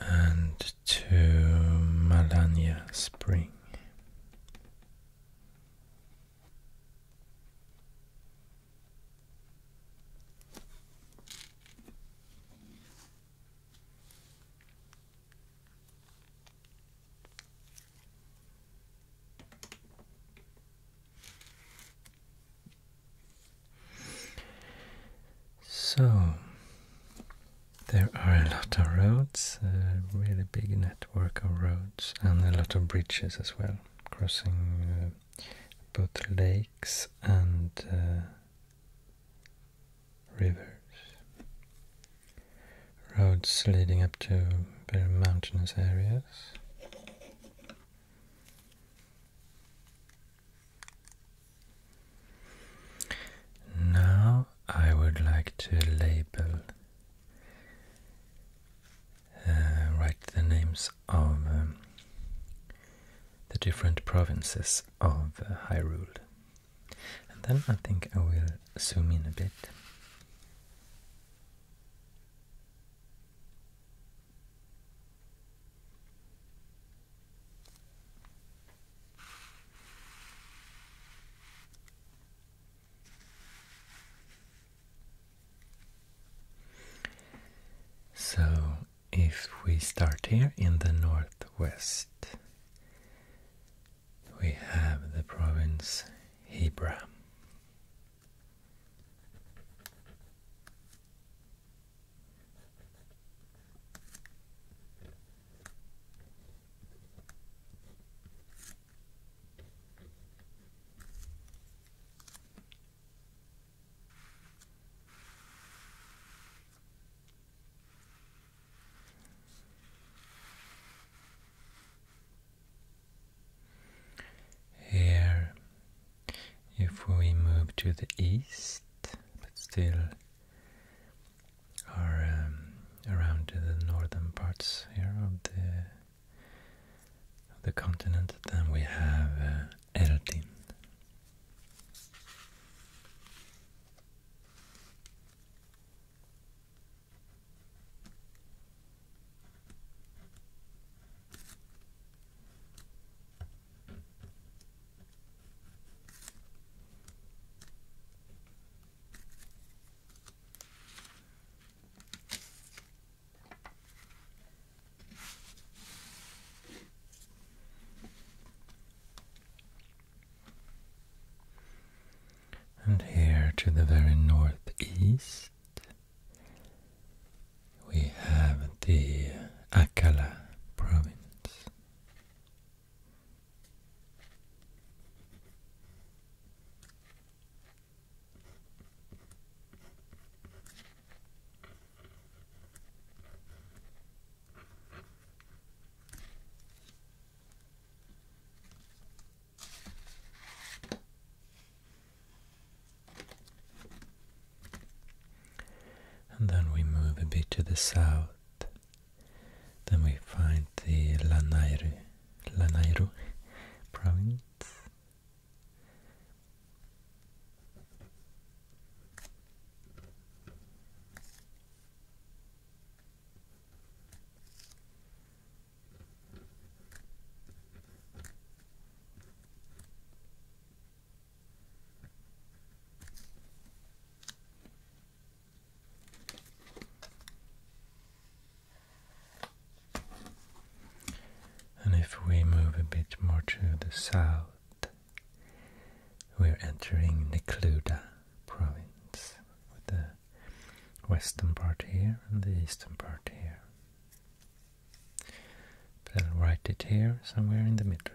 and to Malania Spring. So, there are a lot of roads, a really big network of roads, and a lot of bridges as well, crossing uh, both lakes and uh, rivers. Roads leading up to very mountainous areas. Now I would like to label, uh, write the names of um, the different provinces of uh, Hyrule. And then I think I will zoom in a bit. So, if we start here in the northwest, we have the province Hebra. Here, if we move to the east, but still are um, around the northern parts here of the the continent. Then we have uh, Erdin. And here to the very northeast, we have the Akala province. And then we move a bit to the south then we find the Lanairu, Lanairu province. And if we move a bit more to the south, we're entering the Cluda province, with the western part here and the eastern part here. I'll write it here somewhere in the middle.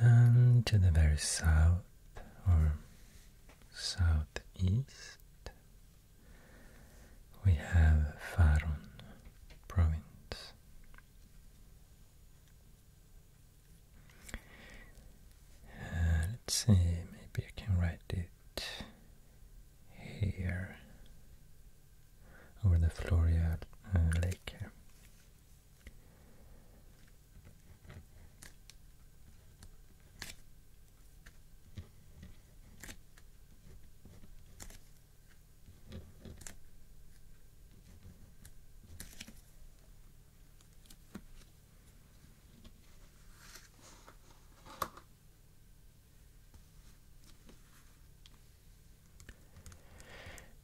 And to the very south or southeast, we have Faron province. Uh, let's see, maybe I can write it here over the Floria uh, lake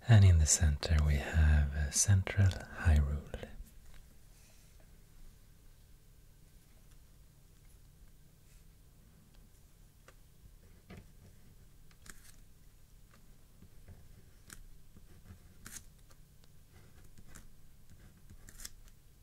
and in the center we have a uh, central Hyrule.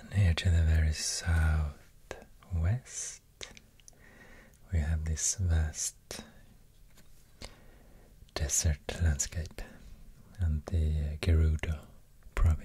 And here to the very southwest, we have this vast desert landscape and the Gerudo province.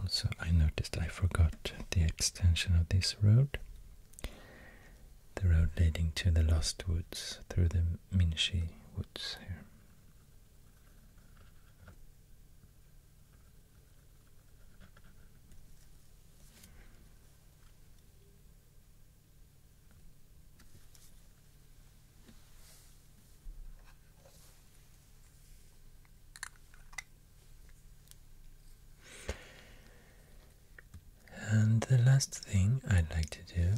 Also, I noticed I forgot the extension of this road. The road leading to the Lost Woods through the Minshi Woods here. And the last thing I'd like to do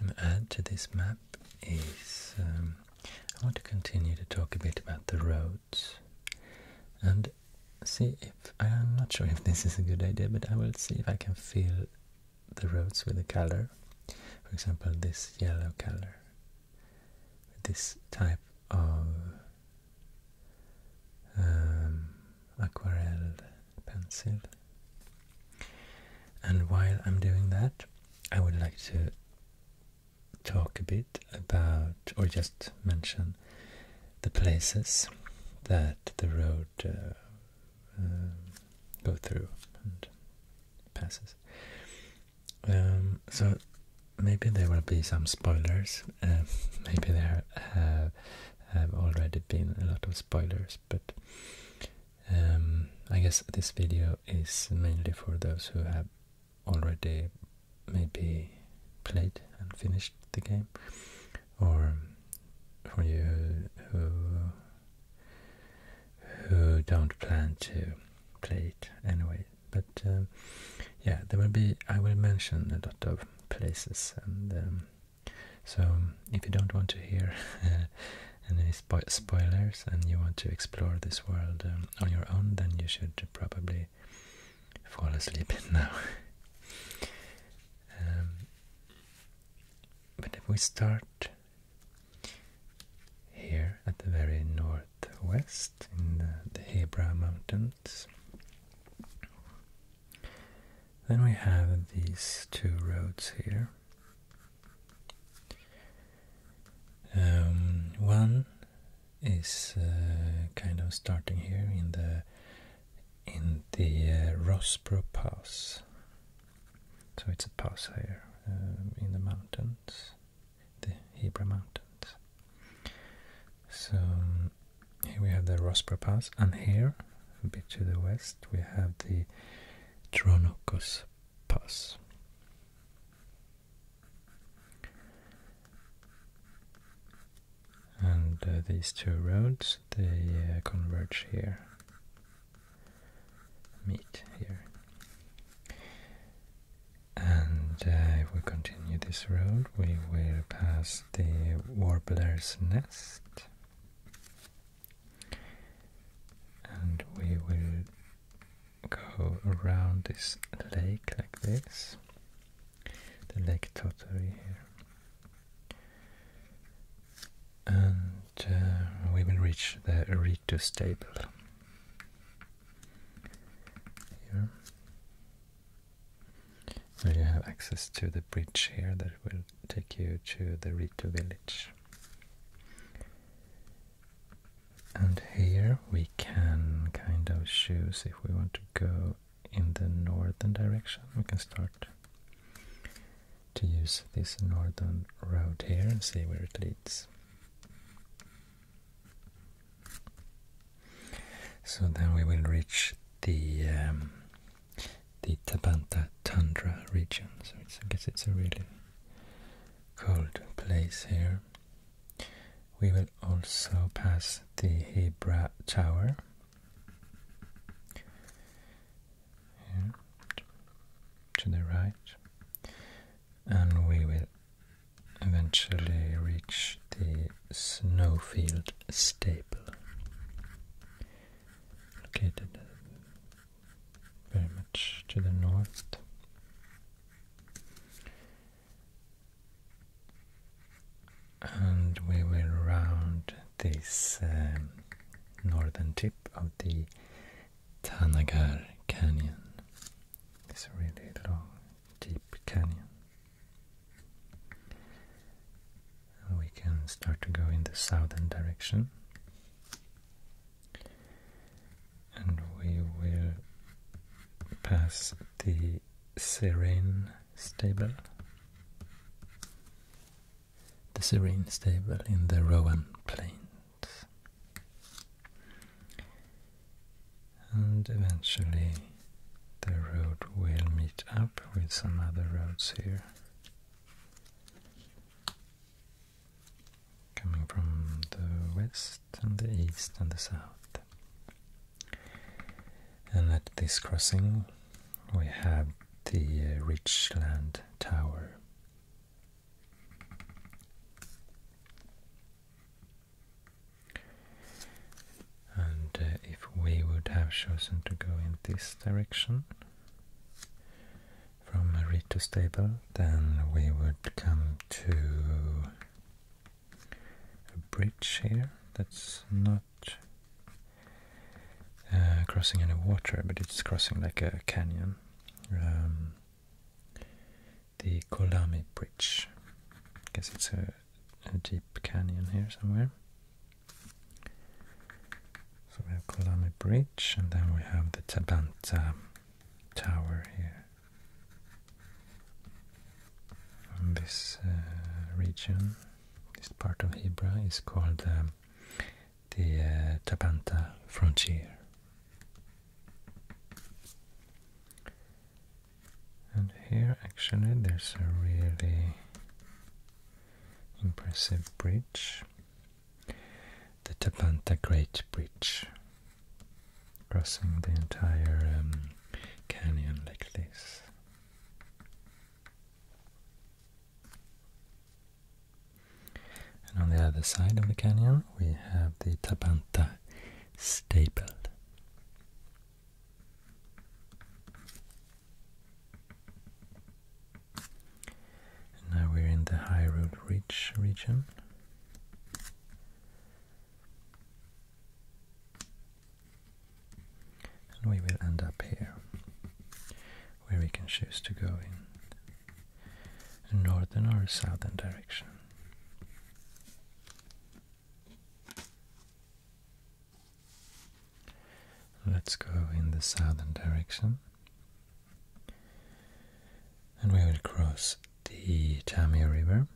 and add to this map is um, I want to continue to talk a bit about the roads and see if I'm not sure if this is a good idea, but I will see if I can fill the roads with a color. For example, this yellow color this type of um, aquarelle pencil. And while I'm doing that, I would like to talk a bit about, or just mention, the places that the road uh, uh go through and passes. Um, so maybe there will be some spoilers. Uh, maybe there have, have already been a lot of spoilers, but um, I guess this video is mainly for those who have already maybe played and finished the game, or for you who who don't plan to play it anyway. But um, yeah, there will be. I will mention a lot of places, and um, so um, if you don't want to hear any spoilers and you want to explore this world on your own, then you should probably fall asleep now. but if we start here at the very northwest in the, the Hebra mountains then we have these two roads here. Um, one is uh, kind of starting here in the in the uh, Pass, so it's a pass here um, in the mountains the Hebrew Mountains. So here we have the Rosper Pass, and here, a bit to the west, we have the Tronocos Pass. And uh, these two roads, they uh, converge here, meet here. And uh, if we continue this road, we will pass the warbler's nest, and we will go around this lake like this the Lake Tottery here. And uh, we will reach the Ritu stable here. Where you have access to the bridge here that will take you to the Ritu village. And here we can kind of choose if we want to go in the northern direction. We can start to use this northern route here and see where it leads. So then we will reach the um, the Tabanta Tundra region. So I guess it's a really cold place here. We will also pass the Hebra Tower. Here, to the right, and we will eventually reach the Snowfield Staple, located very much to the north. And we will round this um, northern tip of the Tanagar Canyon. It's a really long, deep canyon. And we can start to go in the southern direction. And we will pass the Serene stable. The Serene stable in the Rowan Plains and eventually the road will meet up with some other roads here coming from the west and the east and the south and at this crossing we have the uh, Richland Tower and uh, if we would have chosen to go in this direction from Marito stable, then we would come to a bridge here that's not uh, crossing any water, but it's crossing like a canyon. Um, the Kolami Bridge. I guess it's a a deep canyon here somewhere. So we have Kolami Bridge, and then we have the Tabanta Tower here. this uh, region, this part of Hebra, is called um, the uh, Tabanta Frontier. And here actually there's a really impressive bridge. The Tapanta Great Bridge. Crossing the entire um, canyon like this. And on the other side of the canyon we have the Tapanta Staple now we're in the High Road Ridge region. And we will end up here, where we can choose to go in a northern or a southern direction. Let's go in the southern direction. And we will cross the Tamia River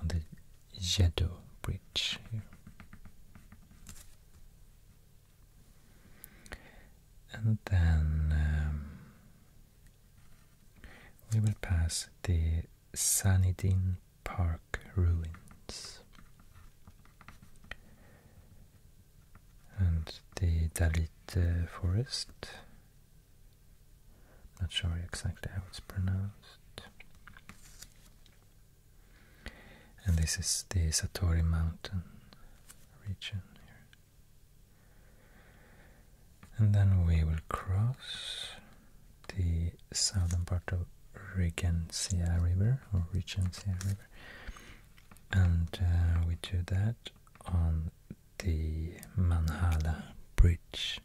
on the Jeddo Bridge And then um, we will pass the Dunedin Park ruins. And the Dalit uh, forest. Not sure exactly how it's pronounced. And this is the Satori mountain region here and then we will cross the southern part of Regencia River or Regencia River, and uh, we do that on the Manhala Bridge.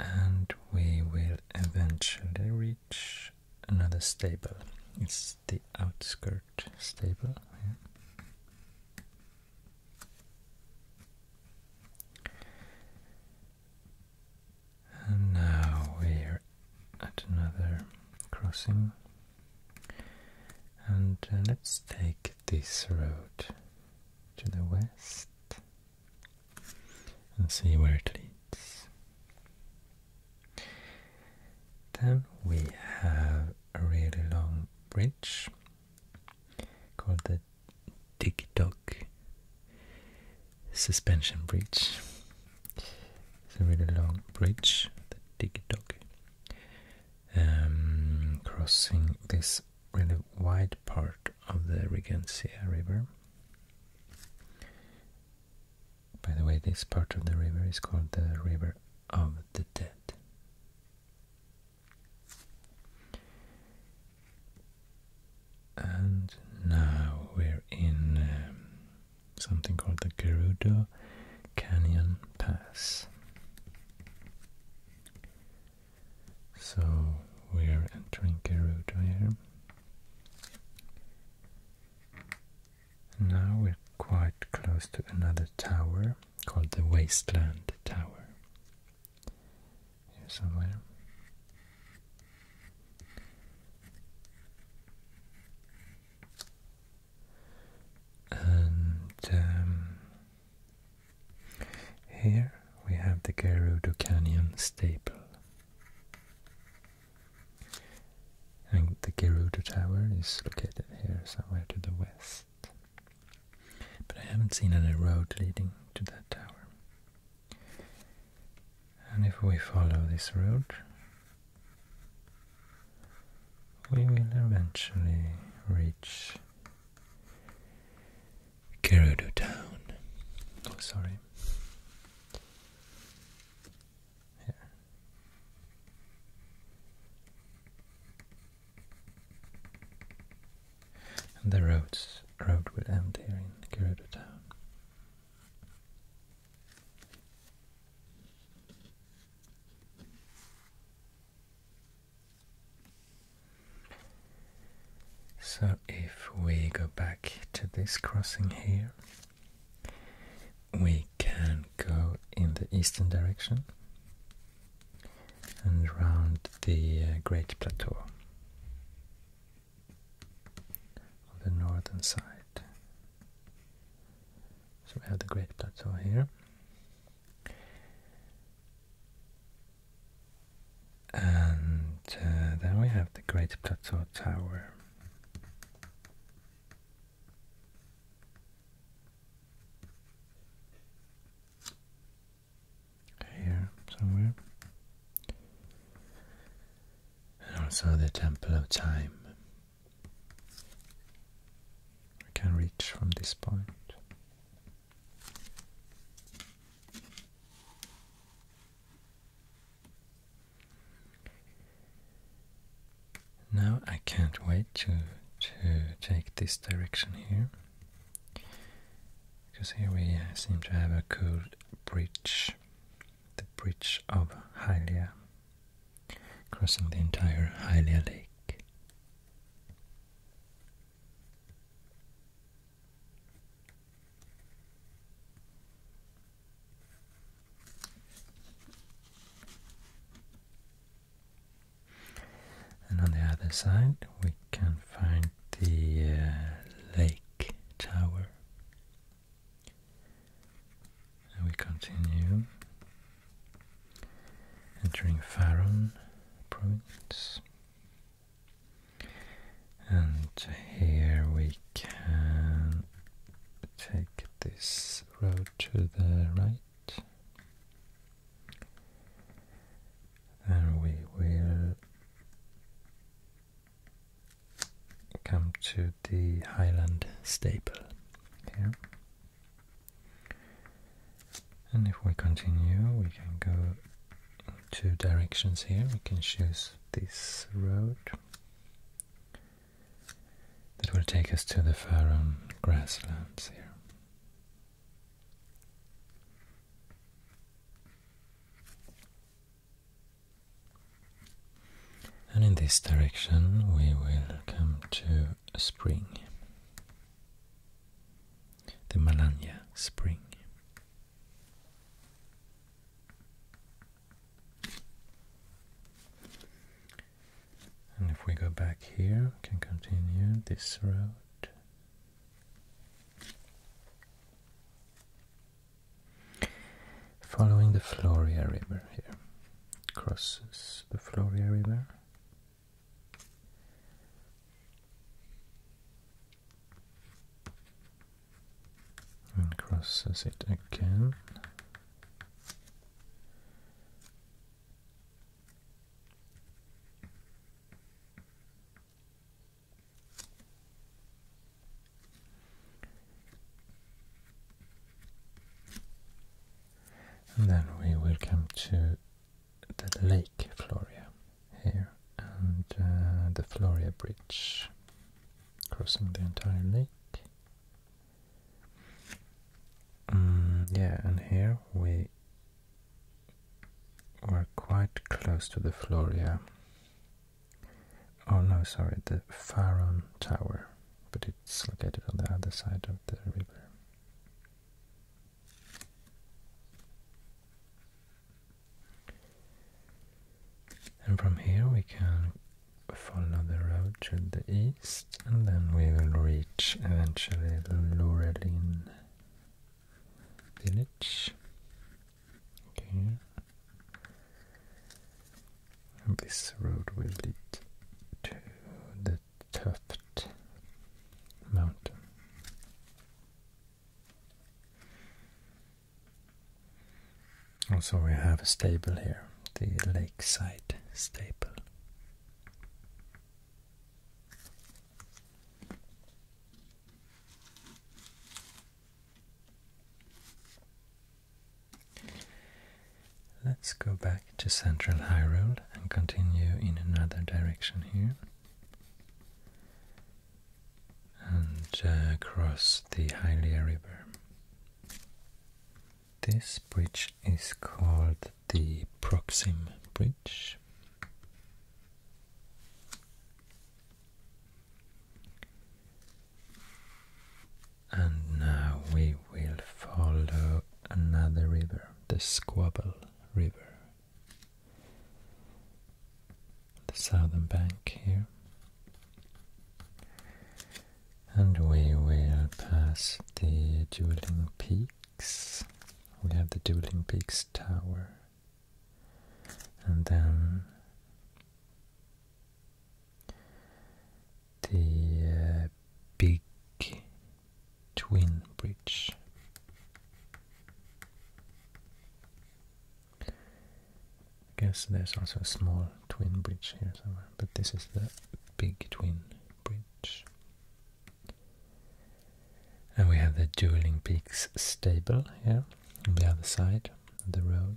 And we will eventually reach another stable. It's the outskirt stable. And now we're at another crossing, and uh, let's take this road to the west and see where it leads. Then we have a really long bridge called the Dig Suspension Bridge. It's a really long bridge, the Dig um, crossing this really wide part of the Regencia River. By the way, this part of the river is called the River of the Dead. And now we're in um, something called the Gerudo Canyon Pass. So we're entering Gerudo here. Now we're quite close to another tower called the Wasteland Tower. Here somewhere. And um, here we have the Gerudo Canyon staple. And the Gerudo Tower is located here somewhere to the west. But I haven't seen any road leading to that tower. And if we follow this road, we will eventually reach Gerudo Town. Oh, sorry. Here. And the roads road will end here in Gerudo town. So if we go back to this crossing here we can go in the eastern direction and round the uh, Great Plateau on the northern side. So we have the Great Plateau here. And uh, then we have the Great Plateau Tower. Here somewhere. And also the Temple of Time. I can reach from this point. Now I can't wait to to take this direction here because here we uh, seem to have a cool bridge, the bridge of Hylia, crossing the entire Hylia Lake. And on the other side, we can find the uh, lake tower. And we continue entering Faron province. And here we can take this road to the right. And we will come to the Highland staple here. And if we continue, we can go two directions here. We can choose this road that will take us to the Faron grasslands here. And in this direction we will come to spring, the Malanya spring. And if we go back here, we can continue this road. Following the Floria River here, crosses the Floria River. And crosses it again and then we will come to the Lake Floria here and uh, the Floria Bridge crossing the entire lake. Mm, yeah, and here we were quite close to the floor, yeah. Oh no, sorry, the Faron Tower, but it's located on the other side of the river. And from here we can follow the road to the east and then we will reach eventually the Lurelin village. Okay. this road will lead to the Tuft mountain. Also we have a stable here, the lakeside stable. Let's go back to Central High Road and continue in another direction here and uh, cross the Hylia River. This bridge is called the Proxim Bridge. And now we will follow another river, the Squabble River. The southern bank here. And we will pass the Dueling Peaks. We have the Dueling Peaks Tower. And then the uh, Big Twin Bridge. I guess there's also a small twin bridge here somewhere, but this is the big twin bridge. And we have the Dueling Peaks stable here on the other side of the road.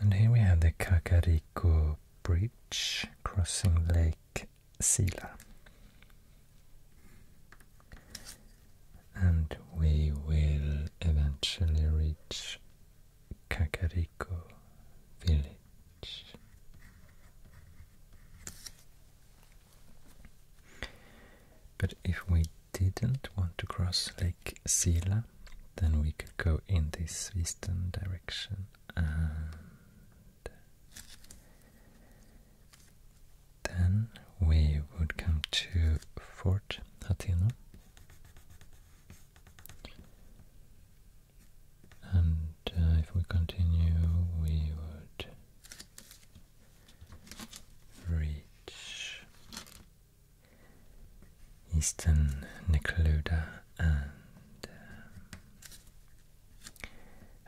And here we have the Kakariko Bridge crossing Lake Sila. And we will eventually reach Kakariko village. But if we didn't want to cross Lake Sila, then we could go in this eastern direction and then we would come to Fort Hatino and uh, if we continue, we would reach Eastern Necluda and uh,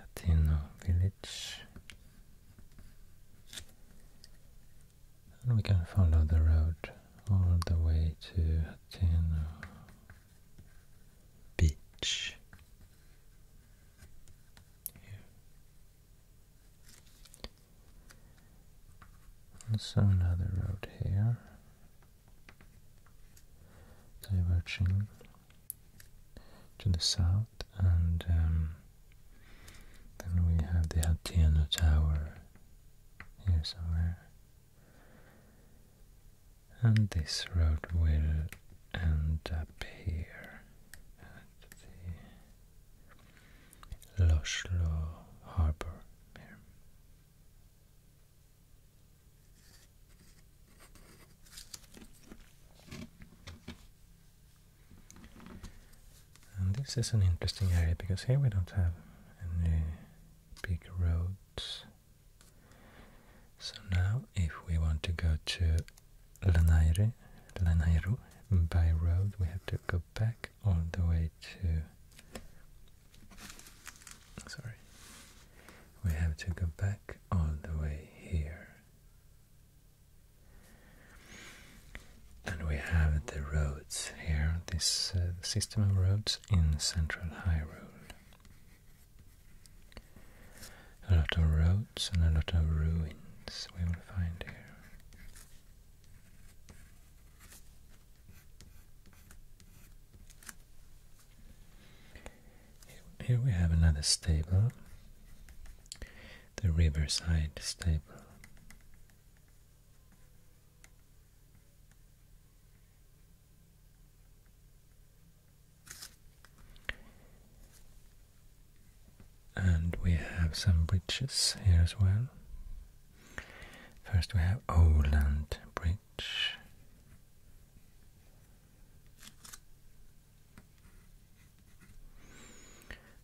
Atino village and we can follow the road all the way to Hateno beach here. And so another road here, diverging to the south, and um, then we have the Hateno Tower and this road will end up here at the Loshlo Harbor here. And this is an interesting area because here we don't have any big roads. So now if we want to go to Lanaire, Lanairo by road, we have to go back all the way to... Sorry. We have to go back all the way here. And we have the roads here, this uh, system of roads in central High Road. A lot of roads and a lot of ruins we will find here. Here we have another stable, the riverside stable. And we have some bridges here as well. First we have Oland Bridge.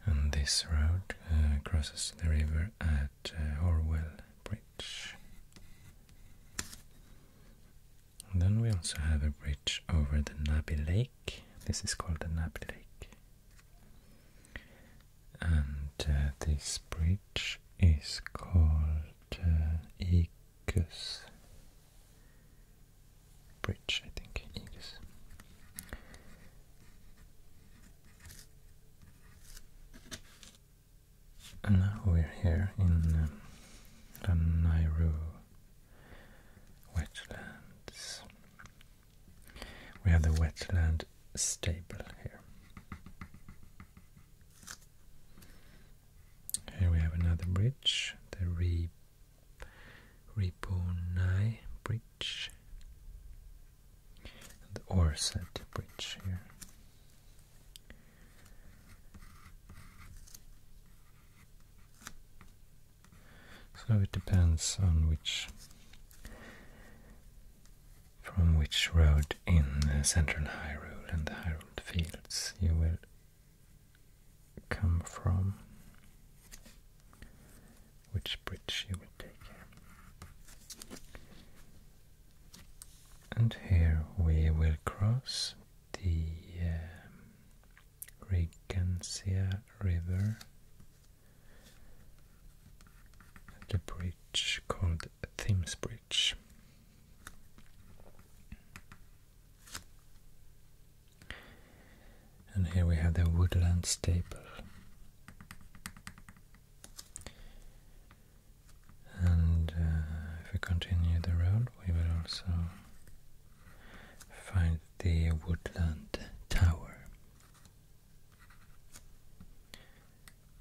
And this road uh, crosses the river at uh, Orwell Bridge then we also have a bridge over the Nabi Lake. This is called the Nabi Lake. And uh, this bridge is called uh, Igus Bridge, I think. Igus. And now we're here in the uh, Nairu wetlands. We have the wetland stable here. Here we have another bridge, the Re Bridge the Orsett Bridge here. So it depends on which from which road in the High Road and the High Road Fields you will come from, which bridge you will take. And here we will cross the uh, um, Regencia River at the bridge called Thames Bridge. And here we have the woodland staple. And uh, if we continue the road, we will also find the Woodland Tower.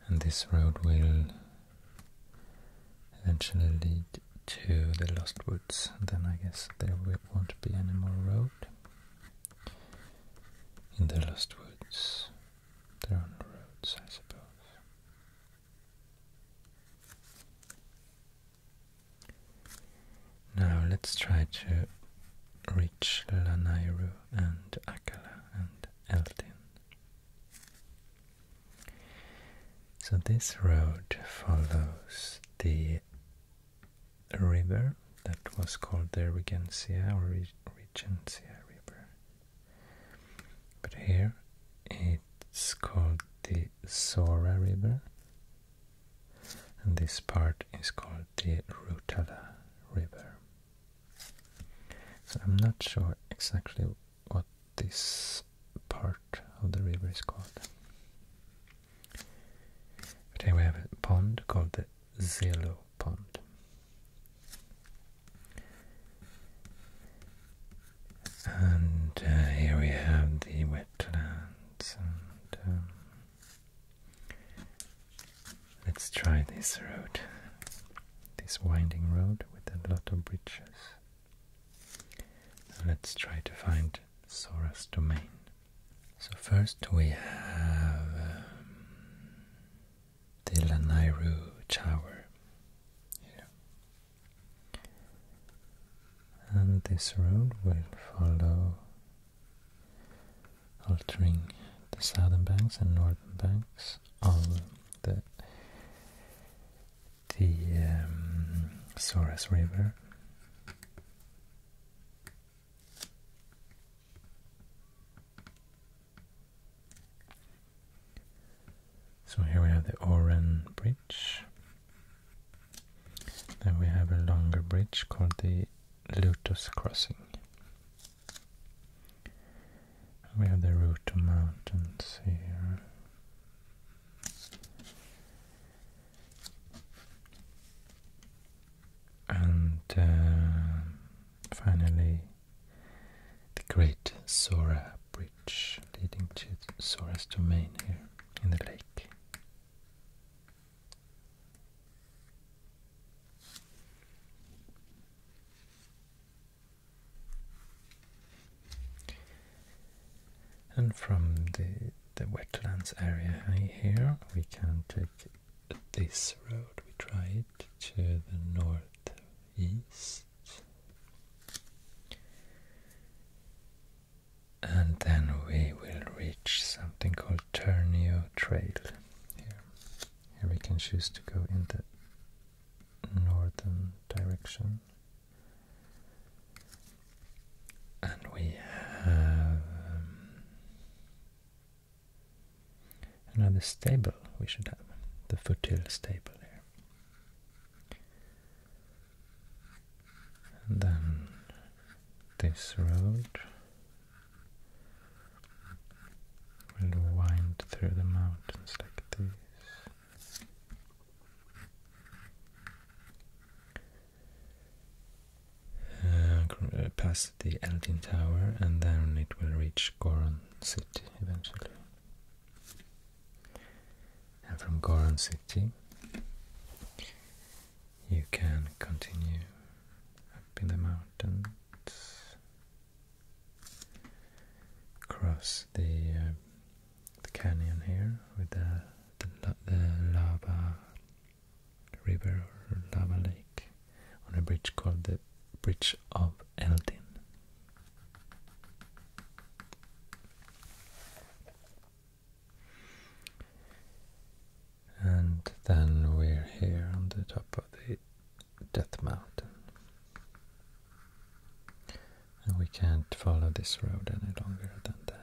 And this road will eventually lead to the Lost Woods. then I guess there won't be any more road in the Lost Woods. They're on the roads, I suppose. Now let's try to reach Lanairu and Akala and Eltin. So this road follows the river that was called the Regencia or Regencia River but here it's called the Sora River, and this part is called the Rutala River. So I'm not sure exactly what this part of the river is called. But here we have a pond called the Zelo Pond. And uh, here we have the wetlands. And, um, let's try this road, this winding road with a lot of bridges. Let's try to find Sora's domain. So first we have um, the Lanairu Tower And this road will follow, altering the southern banks and northern banks of the the um, Soras River. So here we have the Oran Bridge. Then we have a longer bridge called the Lotus Crossing. We have the route to mountains here. And uh, finally, the Great Sora Bridge leading to Sora's domain here in the lake. And from the wetlands area here, we can take this road. We try it to the northeast. And then we will reach something called Ternio Trail. Here, here we can choose to go in the northern direction. And we have um, Another stable we should have, the fertile stable there. And then this road will wind through the mountains like this. Uh, uh, past the Elgin Tower and then it will reach Goron City eventually. And from Goron city, you can continue up in the mountains, cross the uh, the canyon here with the, the lava river or lava lake on a bridge called the Bridge of Eldin. And then we're here on the top of the Death Mountain. And we can't follow this road any longer than that.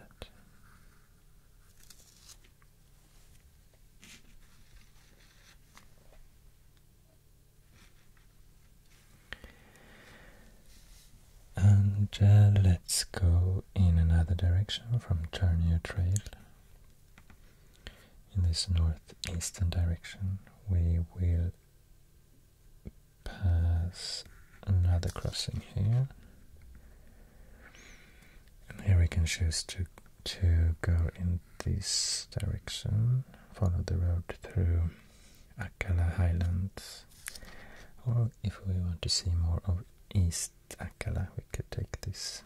And uh, let's go in another direction from Turnio Trail. In this northeastern direction, we will pass another crossing here. And here we can choose to to go in this direction, follow the road through Akala Highlands. Or if we want to see more of East Akala, we could take this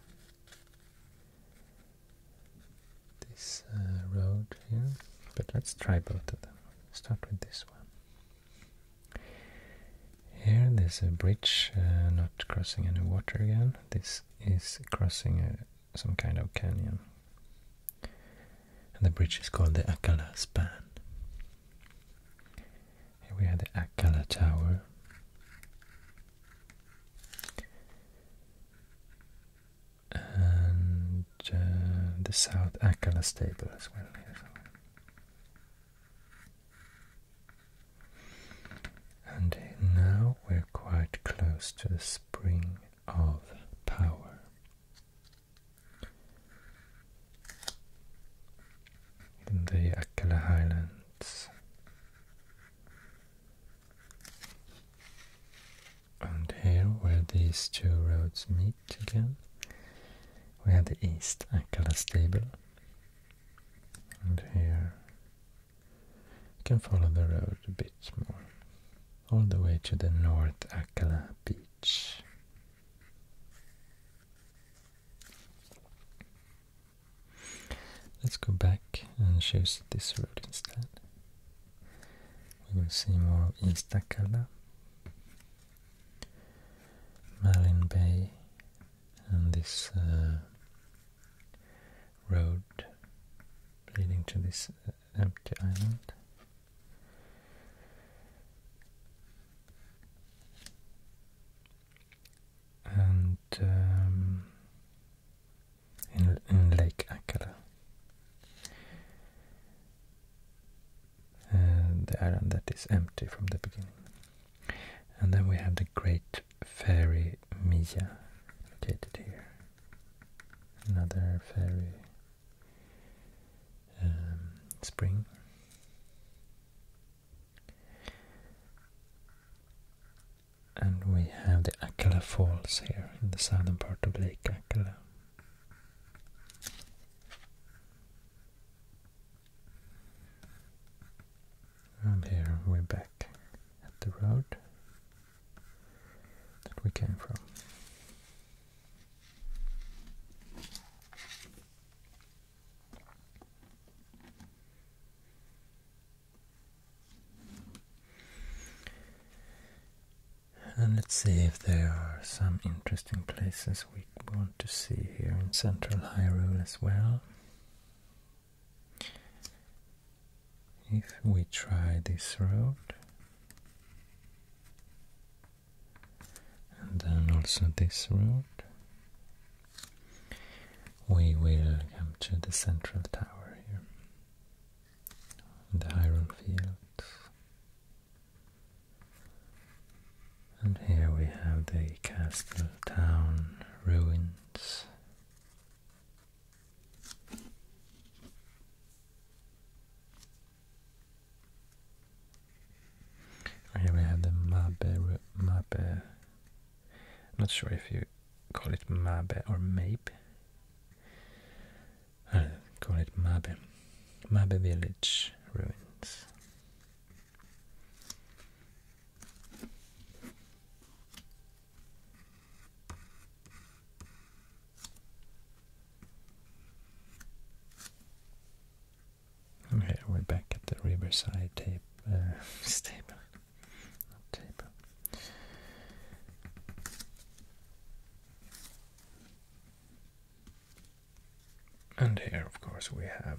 this uh, road here. But let's try both of them. Start with this one. Here there's a bridge, uh, not crossing any water again. This is crossing a some kind of canyon. And the bridge is called the Akala Span. Here we have the Akala Tower. And uh, the South Akala Stable as well here somewhere. And now we're quite close to the spring of power. In the Akela Highlands and here where these two roads meet again we have the East Akela stable and here can follow the road a bit more, all the way to the North Akala beach. Let's go back and choose this road instead. We will see more of East Akala, Malin Bay, and this uh, road leading to this uh, empty island. And um, in, Lake Akala, uh, the island that is empty from the beginning. And then we have the Great Fairy fairy Mija located here. Another fairy um, spring. And we have the Akela Falls here in the southern part of Lake Akela. And here we're back at the road that we came from. And let's see if there are some interesting places we want to see here in central Hyrule as well if we try this road and then also this road, we will come to the central tower here, the iron fields. And here we have the castle town ruins. Here we have the Mabe, Mabe, I'm not sure if you call it Mabe or Mape. I'll call it Mabe, Mabe village ruins. Okay, we're back at the Riverside tape uh, table. And here, of course, we have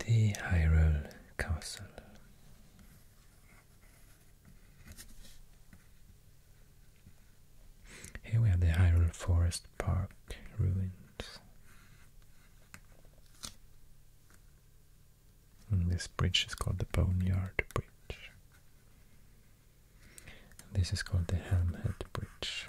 the Hyrule Castle. Here we have the Hyrule Forest Park ruins. And this bridge is called the Boneyard Bridge. this is called the Helmhead Bridge.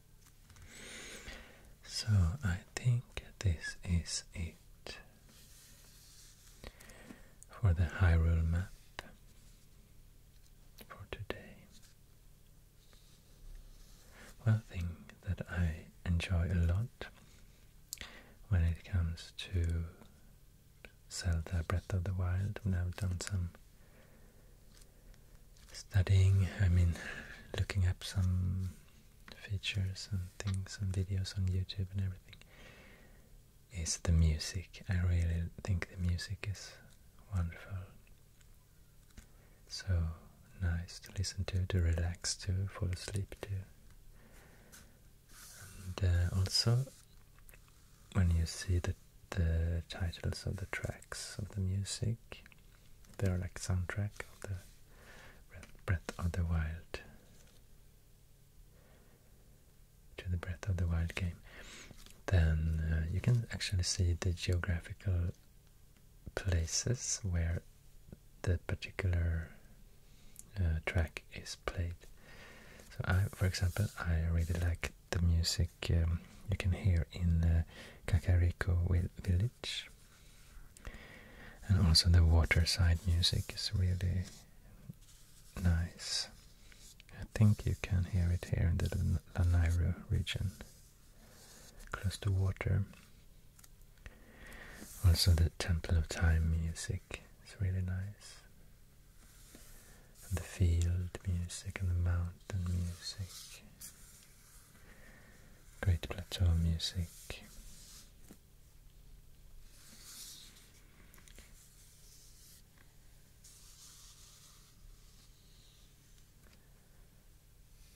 So I think this is it for the Hyrule map for today. One thing that I enjoy a lot when it comes to Zelda Breath of the Wild, when I've done some studying, I mean, looking up some features and things and videos on YouTube and everything, is the music. I really think the music is wonderful. So nice to listen to, to relax to, fall asleep to. And uh, also, when you see the, the titles of the tracks of the music, they are like soundtrack of the Breath of the Wild. To the Breath of the Wild game. Then uh, you can actually see the geographical places where the particular uh, track is played. So for example, I really like the music um, you can hear in uh, Kakariko Village and also the waterside music is really nice. I think you can hear it here in the Lanairu region, close to water. Also the Temple of Time music is really nice. And the field music and the mountain music. Great Plateau music.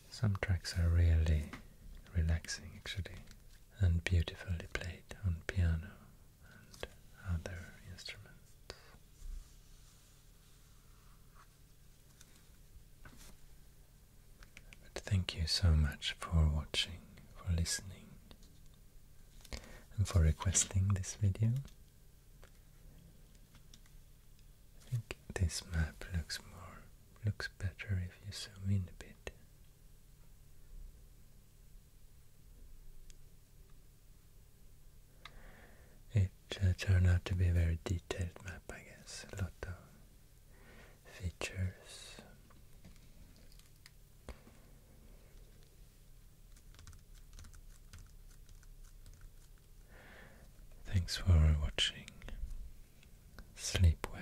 Some tracks are really relaxing actually and beautifully played on piano and other instruments. But thank you so much for watching, for listening, and for requesting this video. I think this map looks more looks better if you zoom in a bit it uh, turned out to be a very detailed map, I guess. A lot of features. Thanks for watching. Sleep well.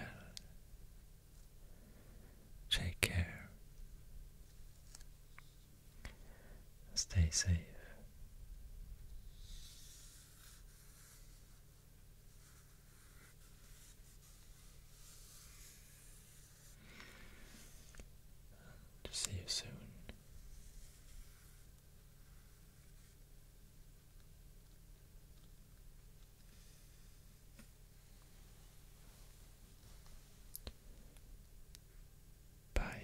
Take care. Stay safe. To see you soon. Bye.